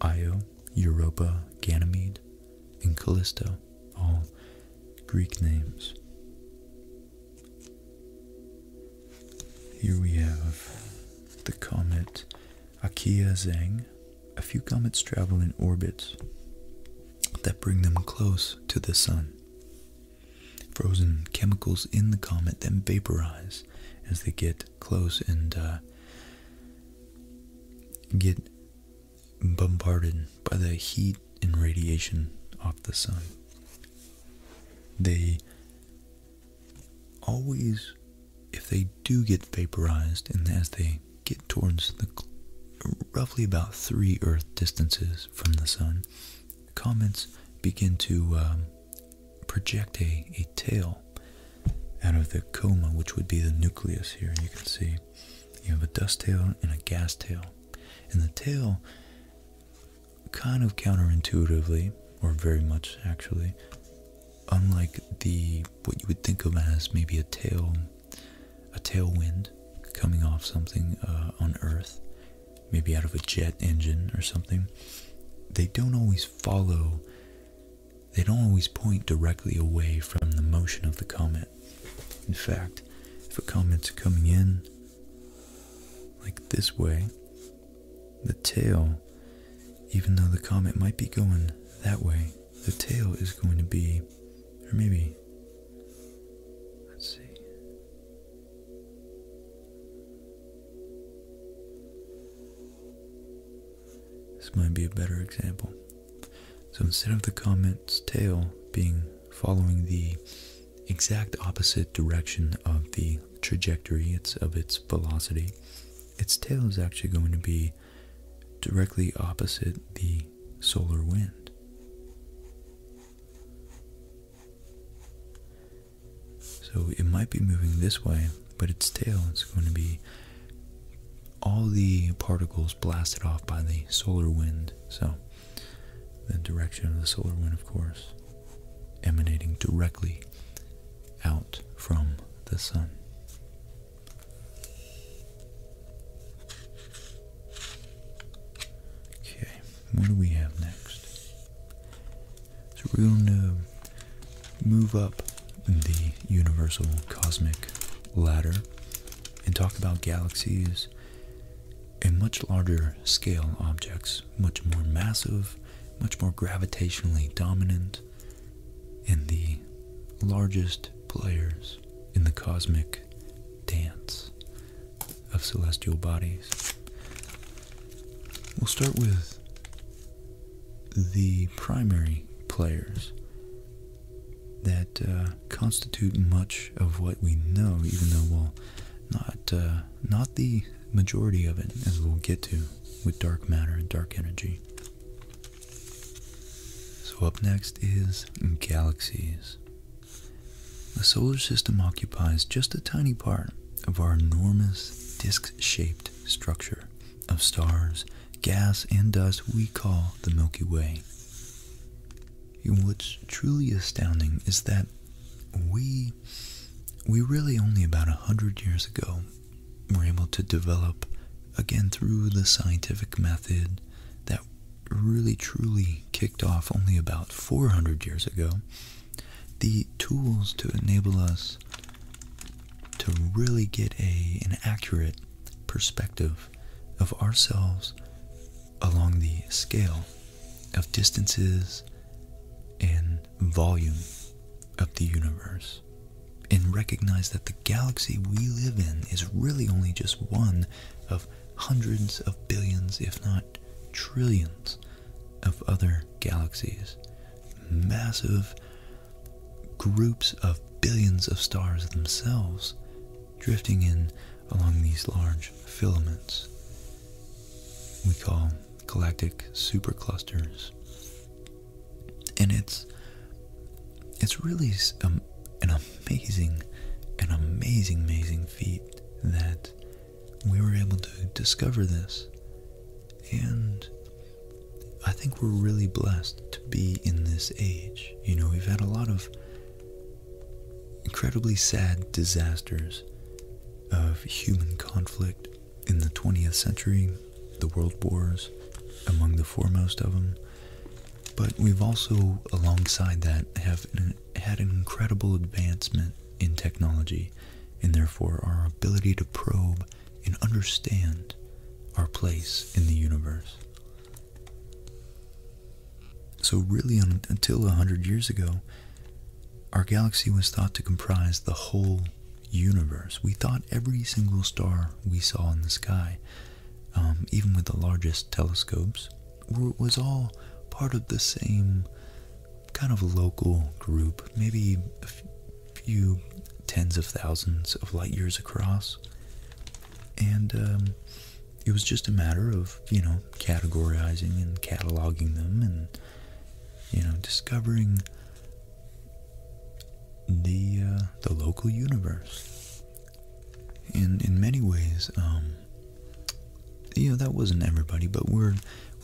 Io, Europa, Ganymede, and Callisto, all Greek names. Here we have the comet Akiya Zhang, a few comets travel in orbits that bring them close to the sun. Frozen chemicals in the comet then vaporize as they get close and uh, get bombarded by the heat and radiation off the sun. They always, if they do get vaporized and as they get towards the roughly about three Earth distances from the Sun, comets begin to um, project a, a tail out of the coma, which would be the nucleus here. You can see you have a dust tail and a gas tail. And the tail, kind of counterintuitively, or very much actually, unlike the what you would think of as maybe a tail a tailwind coming off something uh, on earth maybe out of a jet engine or something they don't always follow they don't always point directly away from the motion of the comet in fact if a comet's coming in like this way the tail, even though the comet might be going that way, the tail is going to be, or maybe, let's see. This might be a better example. So instead of the comet's tail being following the exact opposite direction of the trajectory it's of its velocity, its tail is actually going to be directly opposite the solar wind. So it might be moving this way, but its tail is going to be all the particles blasted off by the solar wind. So the direction of the solar wind, of course, emanating directly out from the sun. Okay, what do we have next? So we're going to move up the universal cosmic ladder and talk about galaxies and much larger scale objects, much more massive, much more gravitationally dominant, and the largest players in the cosmic dance of celestial bodies. We'll start with the primary players that uh, constitute much of what we know, even though we'll not uh, not the majority of it, as we'll get to with dark matter and dark energy. So, up next is galaxies. The solar system occupies just a tiny part of our enormous disc shaped structure of stars, gas, and dust we call the Milky Way. what's truly astounding is that we, we really only about a hundred years ago were able to develop, again through the scientific method that really truly kicked off only about 400 years ago, the tools to enable us to really get a, an accurate perspective of ourselves along the scale of distances and volume of the universe and recognize that the galaxy we live in is really only just one of hundreds of billions, if not trillions, of other galaxies. Massive groups of billions of stars themselves drifting in along these large filaments we call galactic superclusters and it's it's really um, an amazing, an amazing, amazing feat that we were able to discover this, and I think we're really blessed to be in this age. You know, we've had a lot of incredibly sad disasters of human conflict in the 20th century, the world wars among the foremost of them. But we've also, alongside that, have had an incredible advancement in technology, and therefore our ability to probe and understand our place in the universe. So, really, until a hundred years ago, our galaxy was thought to comprise the whole universe. We thought every single star we saw in the sky, um, even with the largest telescopes, was all part of the same kind of local group, maybe a few tens of thousands of light years across. And um, it was just a matter of, you know, categorizing and cataloging them and, you know, discovering the uh, the local universe. In in many ways, um, you know that wasn't everybody, but we're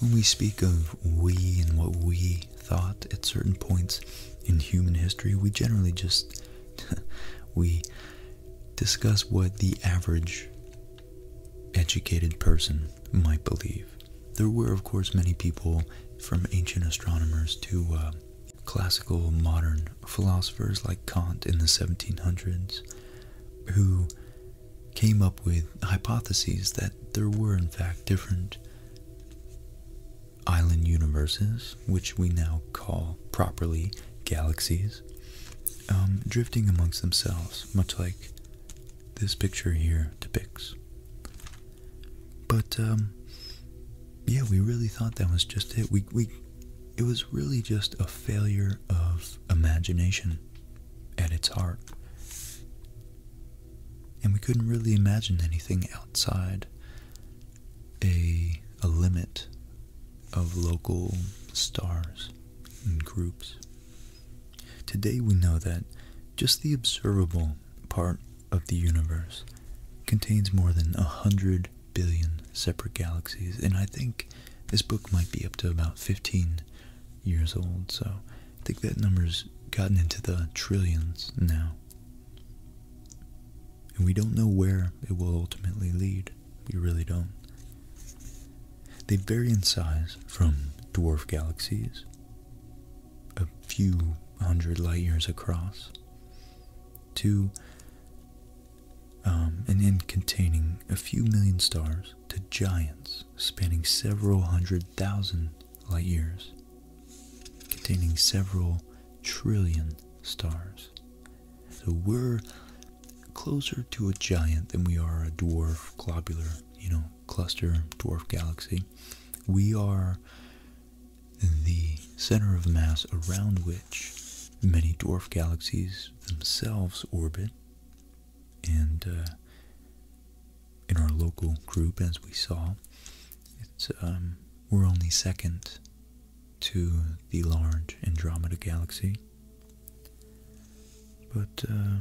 when we speak of we and what we thought at certain points in human history, we generally just we discuss what the average educated person might believe. There were, of course, many people from ancient astronomers to uh, classical modern philosophers like Kant in the 1700s who came up with hypotheses that there were in fact different island universes, which we now call properly galaxies, um, drifting amongst themselves, much like this picture here depicts. But um, yeah, we really thought that was just it. we it was really just a failure of imagination at its heart. And we couldn't really imagine anything outside a a limit of local stars and groups. Today we know that just the observable part of the universe contains more than a hundred billion separate galaxies, and I think this book might be up to about 15 years old, so I think that number's gotten into the trillions now. And we don't know where it will ultimately lead. We really don't. They vary in size from dwarf galaxies, a few 100 light years across to an um, and in containing a few million stars to giants spanning several hundred thousand light years containing several trillion stars so we're closer to a giant than we are a dwarf globular you know cluster dwarf galaxy we are the center of mass around which many dwarf galaxies themselves orbit. And uh, in our local group, as we saw, it's, um, we're only second to the large Andromeda galaxy. But, uh,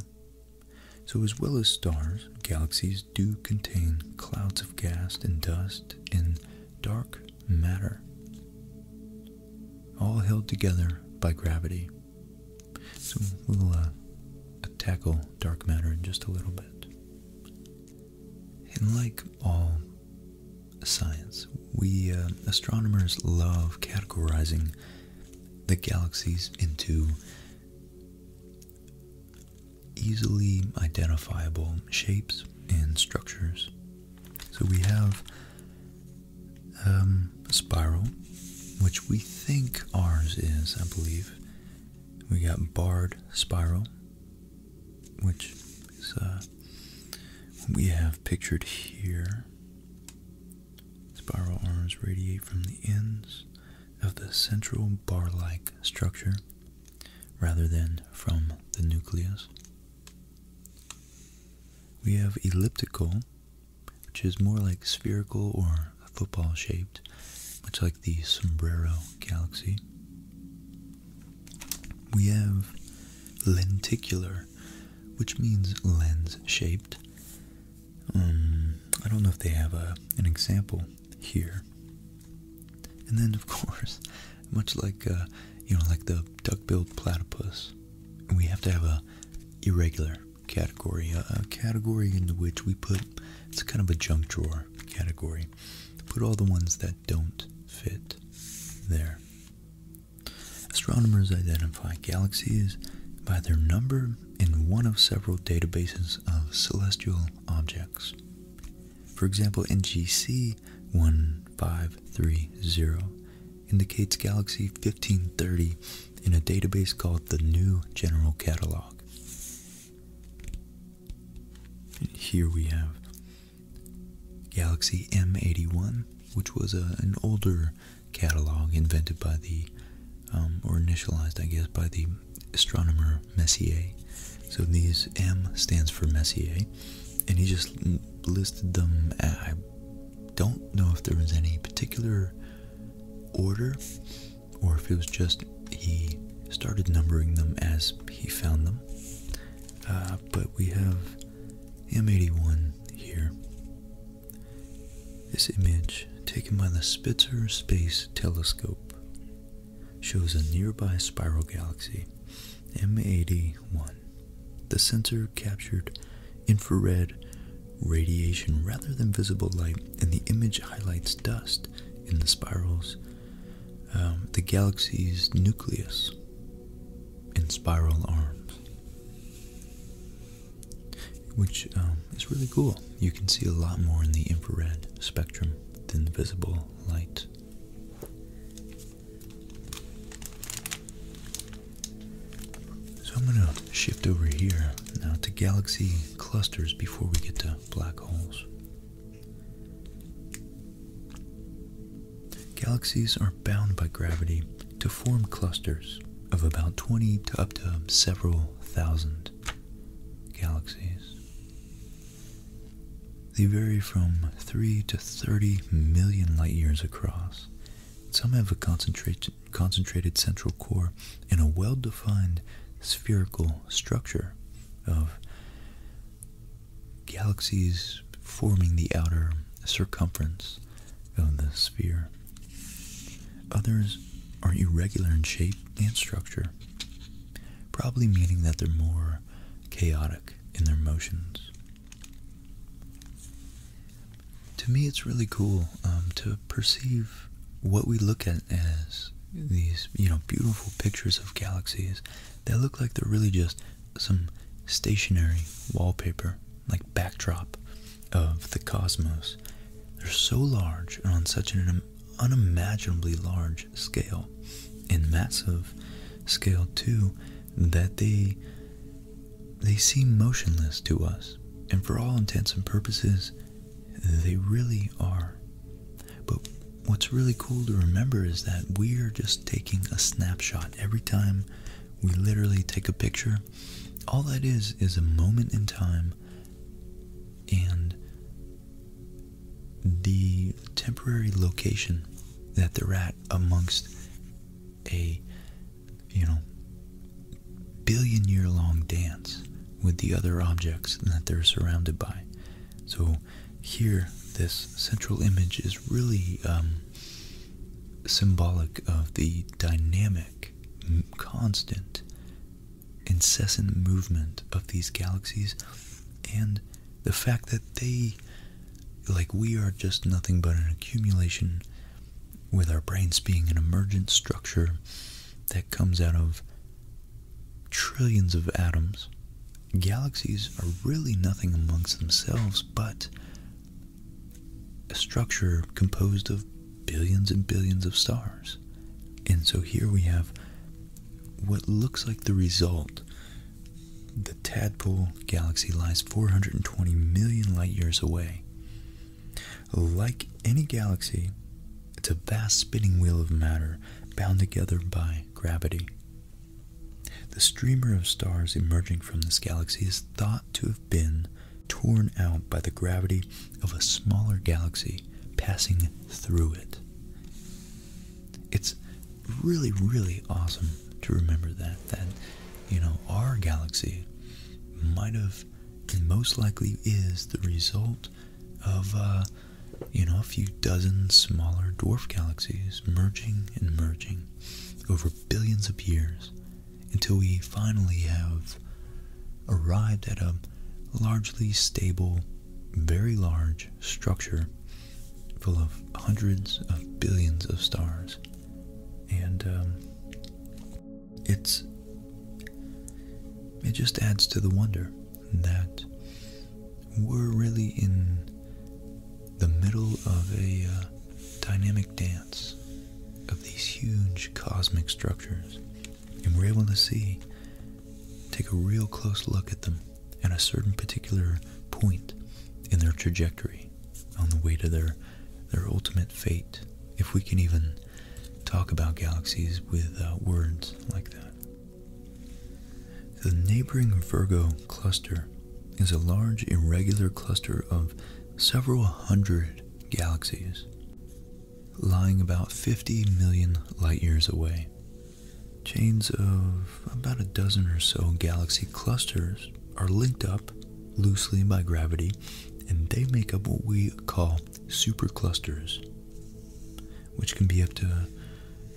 so as well as stars, galaxies do contain clouds of gas and dust and dark matter, all held together by gravity. So we'll uh, tackle dark matter in just a little bit. And like all science, we uh, astronomers love categorizing the galaxies into easily identifiable shapes and structures. So we have um, a spiral, which we think ours is, I believe. We got barred spiral, which is uh, we have pictured here. Spiral arms radiate from the ends of the central bar-like structure rather than from the nucleus. We have elliptical, which is more like spherical or football shaped, much like the sombrero galaxy. We have lenticular, which means lens shaped. Um, I don't know if they have a, an example here. And then, of course, much like uh, you know, like the duck-billed platypus, we have to have a irregular category, a category into which we put it's kind of a junk drawer category. Put all the ones that don't fit there. Astronomers identify galaxies by their number in one of several databases of celestial objects. For example, NGC 1530 indicates galaxy 1530 in a database called the New General Catalog. And here we have galaxy M81, which was an older catalog invented by the, um, or initialized, I guess, by the astronomer Messier. So these M stands for Messier, and he just listed them. I don't know if there was any particular order or if it was just he started numbering them as he found them. Uh, but we have M81 here. This image taken by the Spitzer Space Telescope shows a nearby spiral galaxy, M81. The sensor captured infrared radiation rather than visible light, and the image highlights dust in the spirals, um, the galaxy's nucleus and spiral arms, which um, is really cool. You can see a lot more in the infrared spectrum than visible light. So I'm going to shift over here now to galaxy clusters before we get to black holes. Galaxies are bound by gravity to form clusters of about 20 to up to several thousand galaxies. They vary from 3 to 30 million light years across. Some have a concentrated central core and a well defined spherical structure of galaxies forming the outer circumference of the sphere. Others are irregular in shape and structure, probably meaning that they're more chaotic in their motions. To me, it's really cool um, to perceive what we look at as these, you know, beautiful pictures of galaxies that look like they're really just some stationary wallpaper, like backdrop of the cosmos. They're so large and on such an unimaginably large scale and massive scale too that they they seem motionless to us and for all intents and purposes they really are but what's really cool to remember is that we're just taking a snapshot every time we literally take a picture all that is is a moment in time and the temporary location that they're at amongst a you know billion year long dance with the other objects that they're surrounded by so here this central image is really um, symbolic of the dynamic constant incessant movement of these galaxies and the fact that they like we are just nothing but an accumulation with our brains being an emergent structure that comes out of trillions of atoms galaxies are really nothing amongst themselves but a structure composed of billions and billions of stars and so here we have what looks like the result the Tadpole Galaxy lies 420 million light years away. Like any galaxy, it's a vast spinning wheel of matter bound together by gravity. The streamer of stars emerging from this galaxy is thought to have been torn out by the gravity of a smaller galaxy passing through it it's really really awesome to remember that that you know our galaxy might have most likely is the result of uh, you know a few dozen smaller dwarf galaxies merging and merging over billions of years until we finally have arrived at a largely stable very large structure full of hundreds of billions of stars. And um, it's it just adds to the wonder that we're really in the middle of a uh, dynamic dance of these huge cosmic structures, and we're able to see, take a real close look at them at a certain particular point in their trajectory on the way to their their ultimate fate if we can even talk about galaxies with uh, words like that the neighboring virgo cluster is a large irregular cluster of several hundred galaxies lying about 50 million light years away Chains of about a dozen or so galaxy clusters are linked up loosely by gravity, and they make up what we call superclusters, which can be up to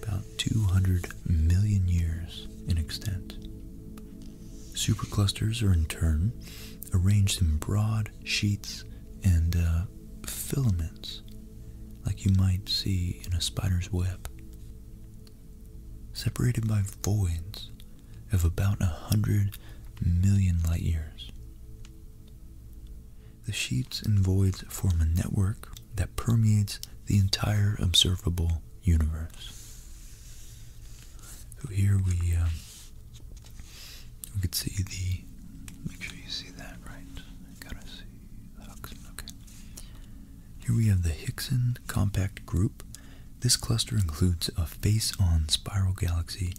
about 200 million years in extent. Superclusters are in turn arranged in broad sheets and uh, filaments like you might see in a spider's web, separated by voids of about a hundred million light years. The sheets and voids form a network that permeates the entire observable universe. So here we um, we could see the. Make sure you see that right. gotta see the oxygen. Here we have the Hickson compact group. This cluster includes a face-on spiral galaxy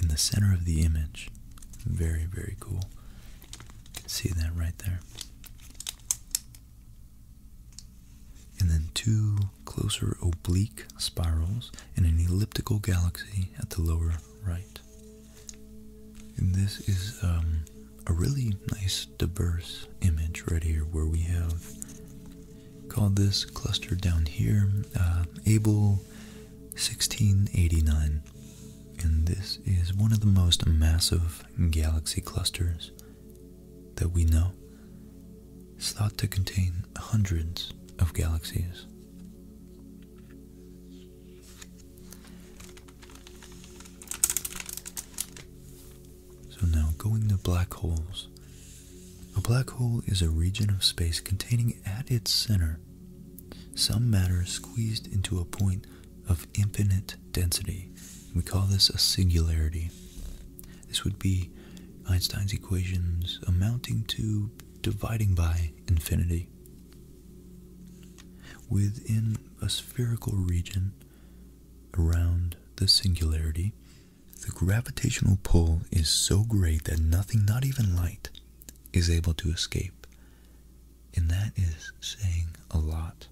in the center of the image. Very, very cool. See that right there. And then two closer oblique spirals and an elliptical galaxy at the lower right. And this is um, a really nice diverse image right here where we have called this cluster down here uh, Abel 1689. And this is one of the most massive galaxy clusters that we know. It's thought to contain hundreds of galaxies. So now going to black holes. A black hole is a region of space containing at its center some matter squeezed into a point of infinite density. We call this a singularity. This would be Einstein's equations amounting to dividing by infinity. Within a spherical region, around the singularity, the gravitational pull is so great that nothing, not even light, is able to escape. And that is saying a lot.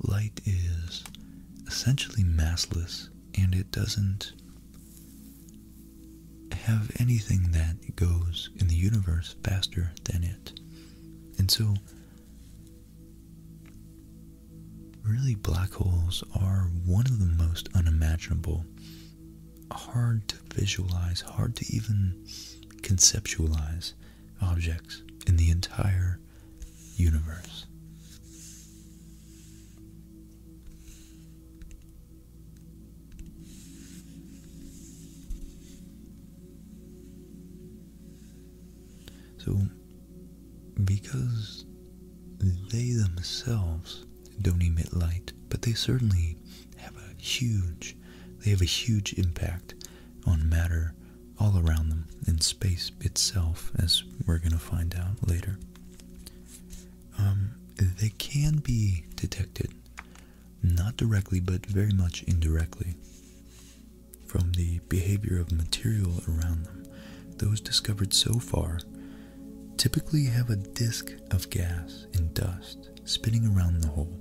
Light is essentially massless and it doesn't have anything that goes in the universe faster than it. And so, really, black holes are one of the most unimaginable, hard to visualize, hard to even conceptualize objects in the entire universe. So, because they themselves don't emit light, but they certainly have a huge, they have a huge impact on matter all around them and space itself, as we're going to find out later. Um, they can be detected not directly but very much indirectly, from the behavior of material around them. Those discovered so far typically have a disk of gas and dust spinning around the hole,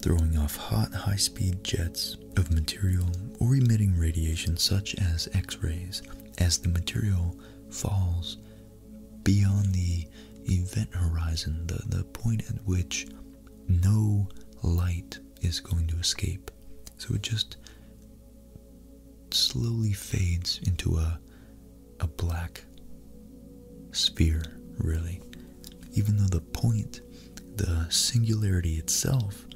throwing off hot, high speed jets of material or emitting radiation such as X rays as the material falls beyond the event horizon, the, the point at which no light is going to escape. So it just slowly fades into a a black sphere, really. Even though the point, the singularity itself,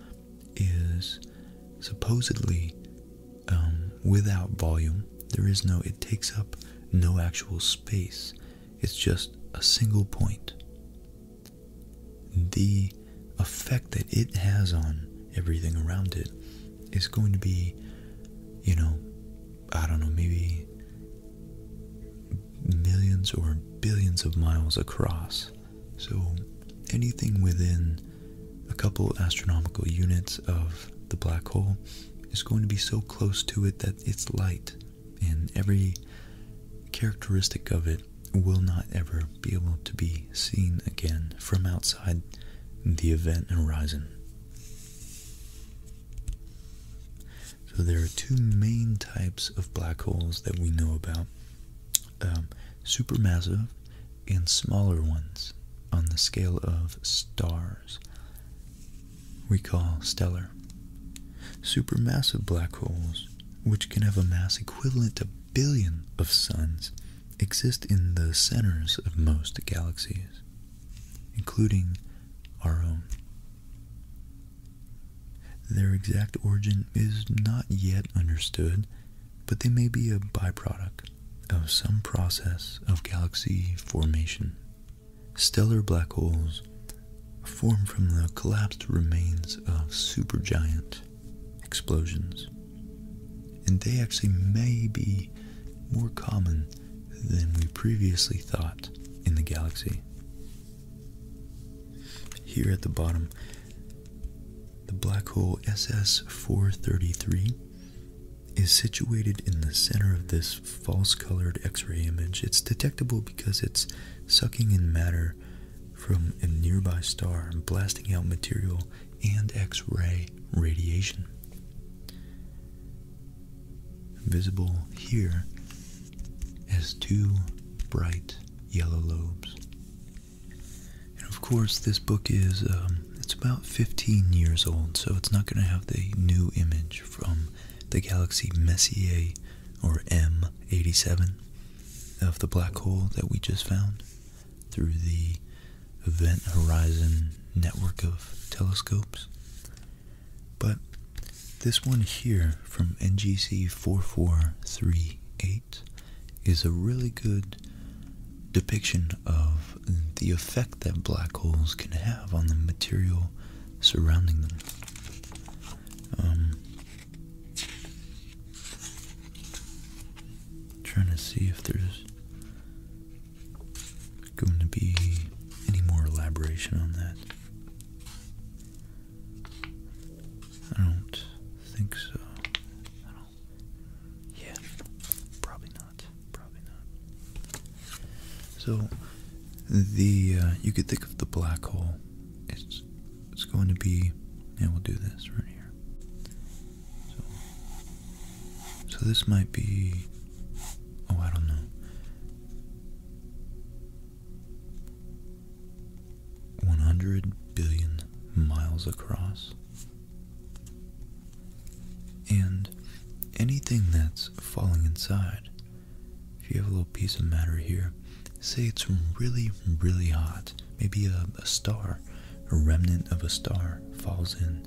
is supposedly um, without volume, there is no, it takes up no actual space. It's just a single point. The effect that it has on everything around it is going to be, you know, I don't know, maybe millions or billions of miles across. So anything within a couple astronomical units of the black hole is going to be so close to it that its light and every characteristic of it will not ever be able to be seen again from outside the event horizon. So there are two main types of black holes that we know about. Um, supermassive and smaller ones on the scale of stars we call stellar. Supermassive black holes, which can have a mass equivalent to billion of suns, exist in the centers of most galaxies, including our own. Their exact origin is not yet understood, but they may be a byproduct of some process of galaxy formation Stellar black holes form from the collapsed remains of supergiant explosions, and they actually may be more common than we previously thought in the galaxy. Here at the bottom, the black hole SS 433 is situated in the center of this false colored X ray image. It's detectable because it's sucking in matter from a nearby star and blasting out material and X ray radiation. Visible here as two bright yellow lobes. And of course, this book is. Um, it's about 15 years old, so it's not going to have the new image from the Galaxy Messier or M87 of the black hole that we just found through the Event Horizon network of telescopes. But this one here from NGC 4438 is a really good depiction of the effect that black holes can have on the material surrounding them. Um, trying to see if there's going to be any more elaboration on that. I don't think so. Yeah, probably not. Probably not. So, the uh, you could think of the black hole. It's it's going to be. and we'll do this right here. So, so this might be. Oh, I don't know. One hundred billion miles across. And anything that's falling inside if you have a little piece of matter here, say it's really, really hot. Maybe a, star, a remnant of a star falls in,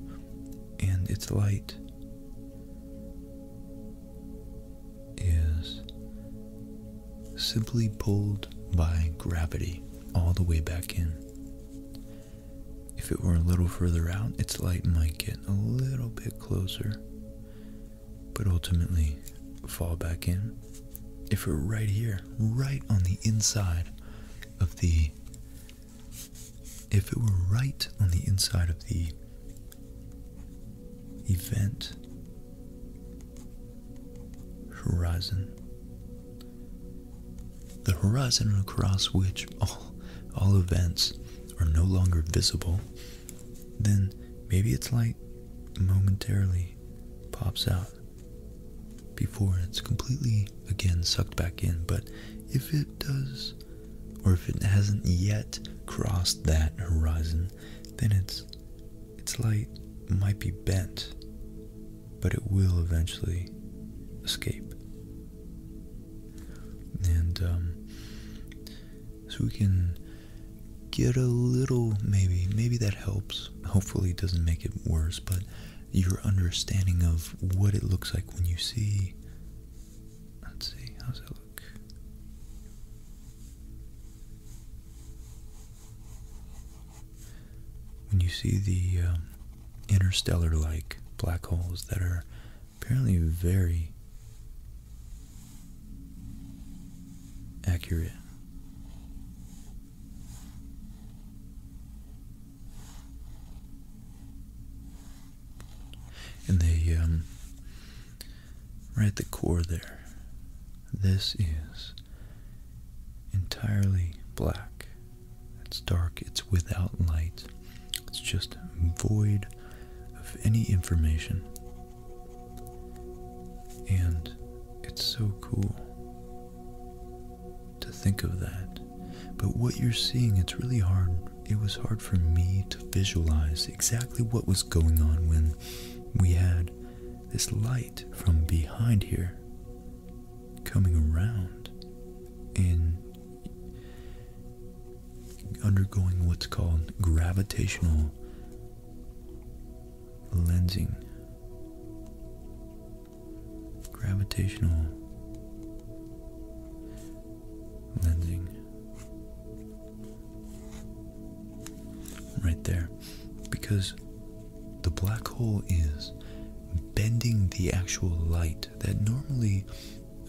and its light is simply pulled by gravity all the way back in. If it were a little further out, its light might get a little bit closer but ultimately fall back in if we're right here, right on the inside of the. If it were right on the inside of the event horizon, the horizon across which all, all events are no longer visible then maybe its light momentarily pops out before it's completely again sucked back in. But if it does, or if it hasn't yet crossed that horizon, then its its light might be bent, but it will eventually escape. And um, so we can get a little maybe maybe that helps hopefully doesn't make it worse but your understanding of what it looks like when you see let's see how's that look when you see the um, interstellar like black holes that are apparently very accurate. And they, um, right at the core there, this is entirely black. It's dark, it's without light, it's just void of any information and it's so cool to think of that. But what you're seeing, it's really hard. It was hard for me to visualize exactly what was going on when we had this light from behind here coming around and undergoing what's called gravitational lensing, gravitational lensing. Right there, because the black hole is bending the actual light that normally,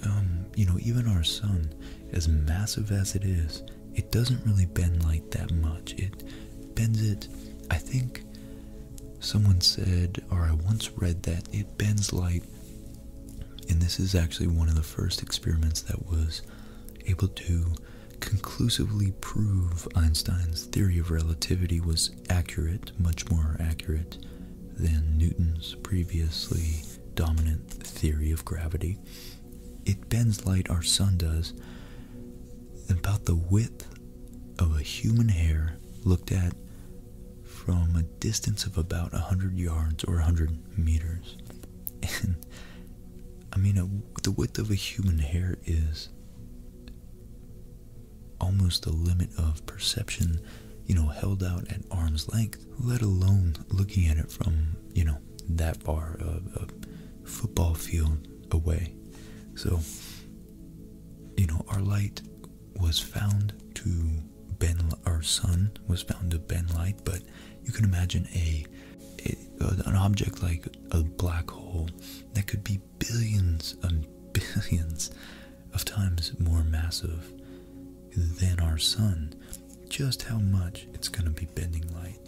um, you know, even our sun, as massive as it is, it doesn't really bend light that much. It bends it, I think someone said, or I once read that it bends light, and this is actually one of the first experiments that was able to conclusively prove Einstein's theory of relativity was accurate, much more accurate than Newton's previously dominant theory of gravity. It bends light, our sun does, about the width of a human hair looked at from a distance of about 100 yards or 100 meters. And I mean, the width of a human hair is almost the limit of perception, you know, held out at arm's length, let alone looking at it from, you know, that far, football field away. So, you know, our light was found to bend our sun was found to bend light, but you can imagine a uh, an object like a black hole that could be billions and billions of times more massive than our sun. Just how much it's going to be bending light.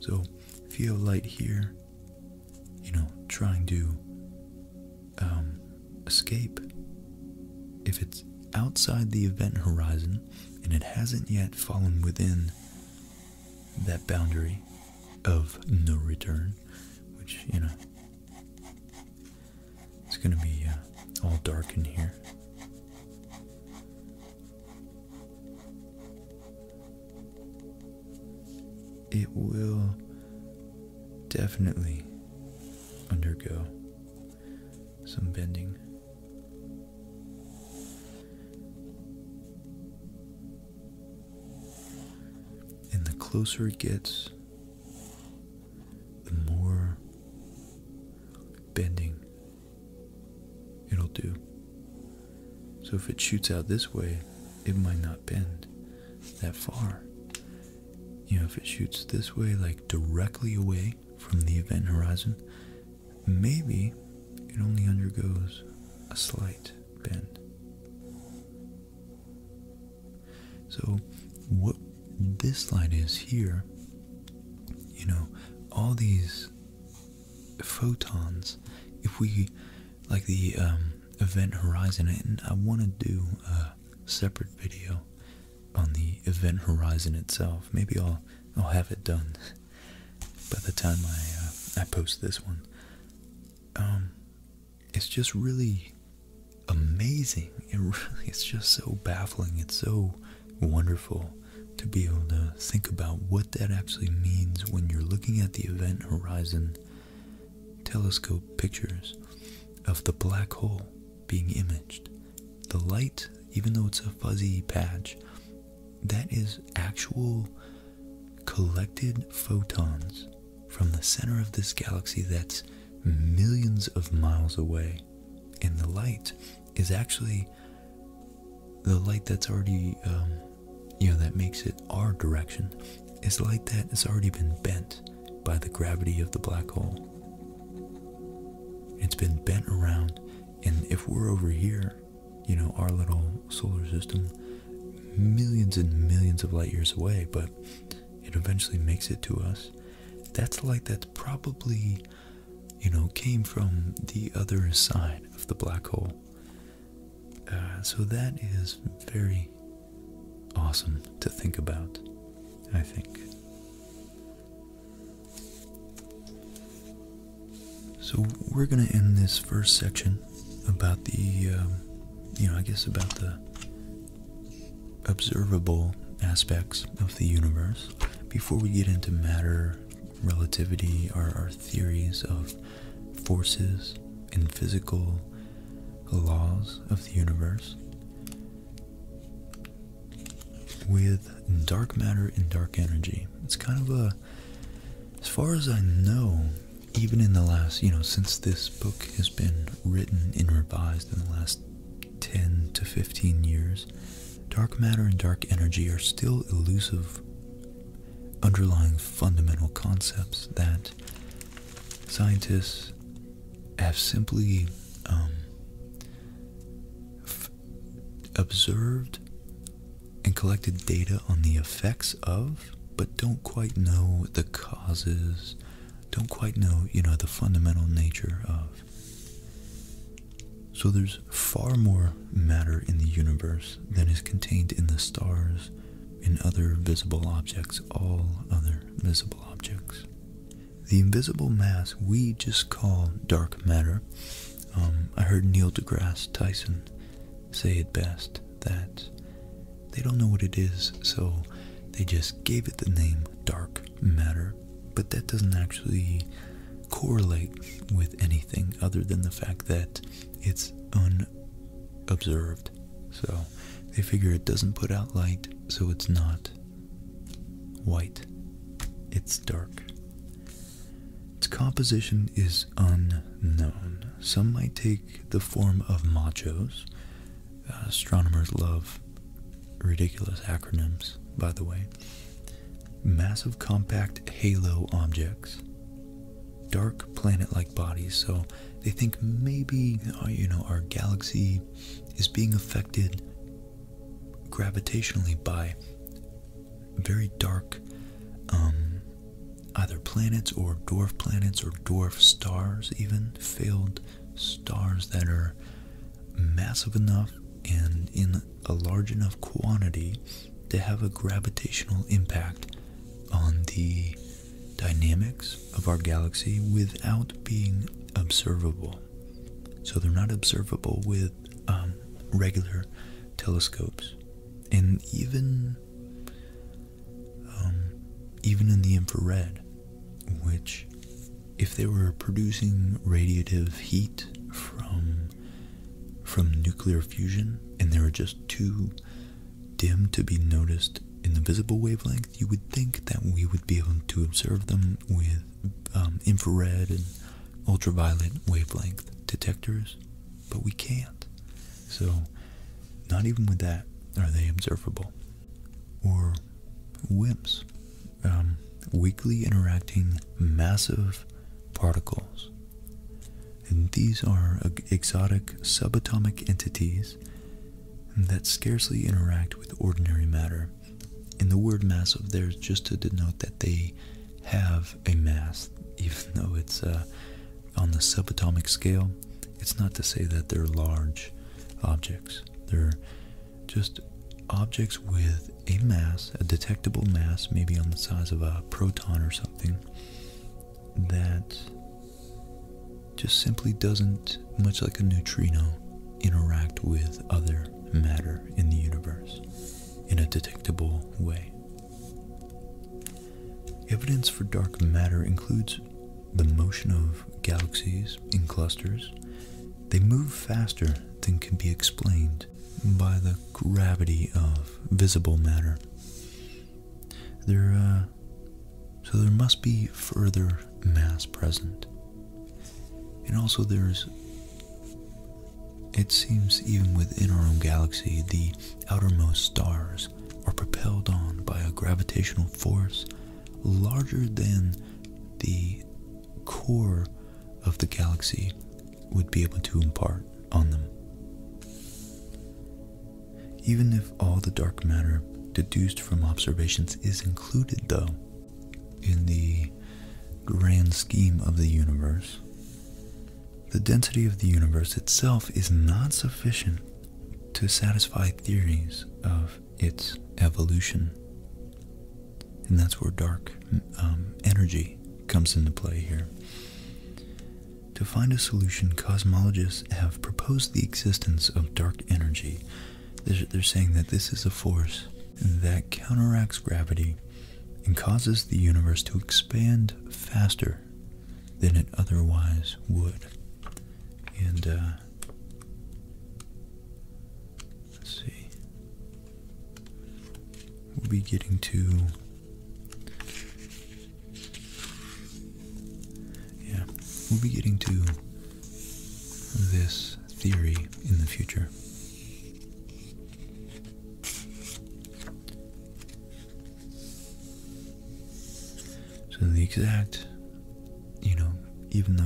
So feel light here, you know, trying to um, escape, if it's outside the event horizon and it hasn't yet fallen within that boundary of no return, which, you know, it's going to be uh, all dark in here. It will definitely undergo some bending. And the closer it gets, the more bending it'll do. So if it shoots out this way, it might not bend that far. You know, if it shoots this way, like directly away from the event horizon, maybe it only undergoes a slight bend. So, what this line is here, you know, all these photons if we like the um, event horizon and i want to do a separate video on the event horizon itself maybe i'll i'll have it done by the time i uh, i post this one um it's just really amazing it really it's just so baffling it's so wonderful to be able to think about what that actually means when you're looking at the event horizon telescope pictures of the black hole being imaged. The light, even though it's a fuzzy patch, that is actual collected photons from the center of this galaxy that's millions of miles away. in the light is actually the light that's already, um, you know, that makes it our direction, is light that has already been bent by the gravity of the black hole. It's been bent around, and if we're over here, you know, our little solar system, millions and millions of light years away, but it eventually makes it to us. That's light that's probably you know, came from the other side of the black hole. Uh, so that is very awesome to think about, I think. So we're going to end this first section about the, um, you know, I guess about the observable aspects of the universe before we get into matter relativity are our theories of forces and physical laws of the universe. With dark matter and dark energy, it's kind of a, as far as I know, even in the last, you know, since this book has been written and revised in the last 10 to 15 years, dark matter and dark energy are still elusive underlying fundamental concepts that scientists have simply um, observed and collected data on the effects of, but don't quite know the causes, don't quite know, you know, the fundamental nature of. So there's far more matter in the universe than is contained in the stars, in other visible objects, all other visible objects. The invisible mass we just call dark matter. Um, I heard Neil deGrasse Tyson say it best that they don't know what it is, so they just gave it the name dark matter. But that doesn't actually correlate with anything other than the fact that it's unobserved. So they figure it doesn't put out light, so it's not white, it's dark. Its composition is unknown. Some might take the form of machos. Astronomers love ridiculous acronyms, by the way massive compact halo objects. Dark planet like bodies, so they think maybe, uh, you know, our galaxy is being affected gravitationally by very dark, um, either planets or dwarf planets or dwarf stars, even failed stars that are massive enough and in a large enough quantity to have a gravitational impact on the dynamics of our galaxy without being observable. So they're not observable with um, regular telescopes, and even um, even in the infrared, which if they were producing radiative heat from from nuclear fusion and they are just too dim to be noticed in the visible wavelength, you would think that we would be able to observe them with um, infrared and ultraviolet wavelength detectors, but we can't. So, not even with that are they observable. Or WIMPs, um, weakly interacting massive particles and these are exotic subatomic entities that scarcely interact with ordinary matter. In the word mass of theirs just to denote that they have a mass, even though it's uh, on the subatomic scale. It's not to say that they're large objects. They're just objects with a mass, a detectable mass, maybe on the size of a proton or something that just simply doesn't, much like a neutrino, interact with other matter in the universe in a detectable way. Evidence for dark matter includes the motion of galaxies in clusters. They move faster than can be explained by the gravity of visible matter. There, uh, so there must be further mass present. And also there's, it seems even within our own galaxy, the outermost stars are propelled on by a gravitational force larger than the core of the galaxy would be able to impart on them. Even if all the dark matter deduced from observations is included, though, in the grand scheme of the universe, the density of the universe itself is not sufficient to satisfy theories of its evolution. And that's where dark um, energy comes into play here. To find a solution, cosmologists have proposed the existence of dark energy. They're, saying that this is a force that counteracts gravity and causes the universe to expand faster than it otherwise would. And, uh, let's see we'll be getting to. Yeah, we'll be getting to this theory in the future. So, the exact, you know, even though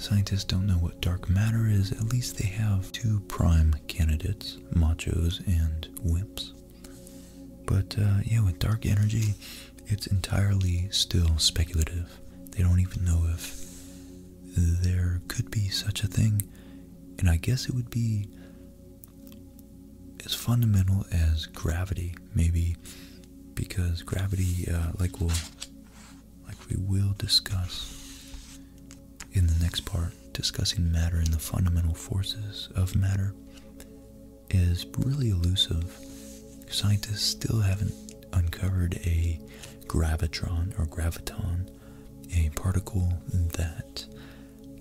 scientists don't know what dark matter is, at least they have two prime candidates machos and wimps. But uh, yeah, with dark energy, it's entirely still speculative. They don't even know if there could be such a thing, and I guess it would be as fundamental as gravity, maybe, because gravity, uh, like we'll, like we will discuss in the next part, discussing matter and the fundamental forces of matter, is really elusive. Scientists still haven't uncovered a graviton or graviton, a particle that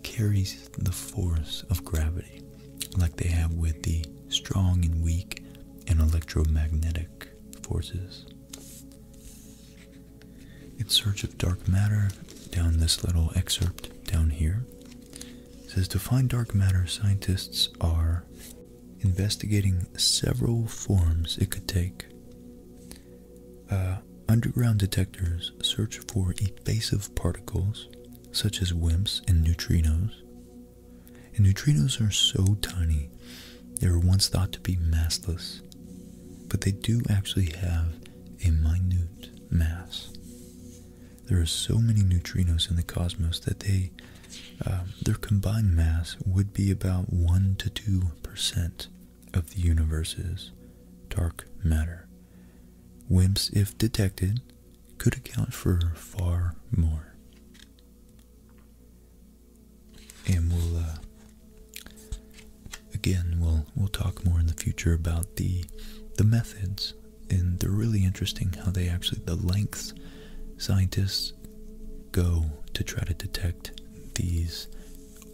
carries the force of gravity, like they have with the strong and weak and electromagnetic forces in search of dark matter down this little excerpt down here. says to find dark matter, scientists are investigating several forms it could take. Uh, underground detectors search for evasive particles such as WIMPs and neutrinos. And neutrinos are so tiny, they were once thought to be massless but they do actually have a minute mass. There are so many neutrinos in the cosmos that they um, their combined mass would be about 1 to 2% of the universe's dark matter. WIMPs, if detected, could account for far more. And uh, Again, we'll we'll talk more in the future about the the methods, and they're really interesting how they actually the lengths scientists go to try to detect these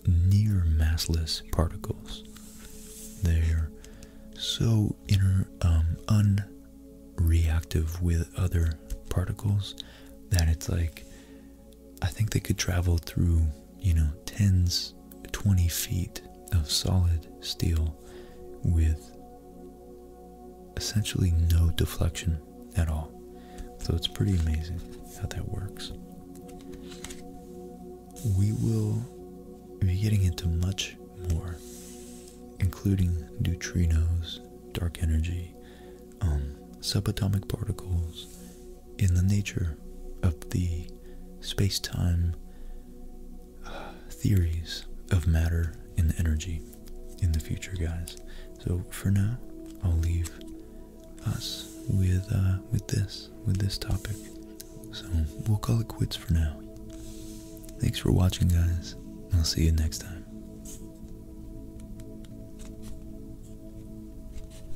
near massless particles. They're so inner um, unreactive with other particles that it's like I think they could travel through, you know, tens, 20 feet of solid steel with essentially no deflection at all. So it's pretty amazing how that works. We will be getting into much more, including neutrinos, dark energy, um, subatomic particles, in the nature of the space time uh, theories of matter and energy in the future, guys. So for now, I'll leave us with uh, with this with this topic. So we'll call it quits for now. Thanks for watching, guys. I'll see you next time.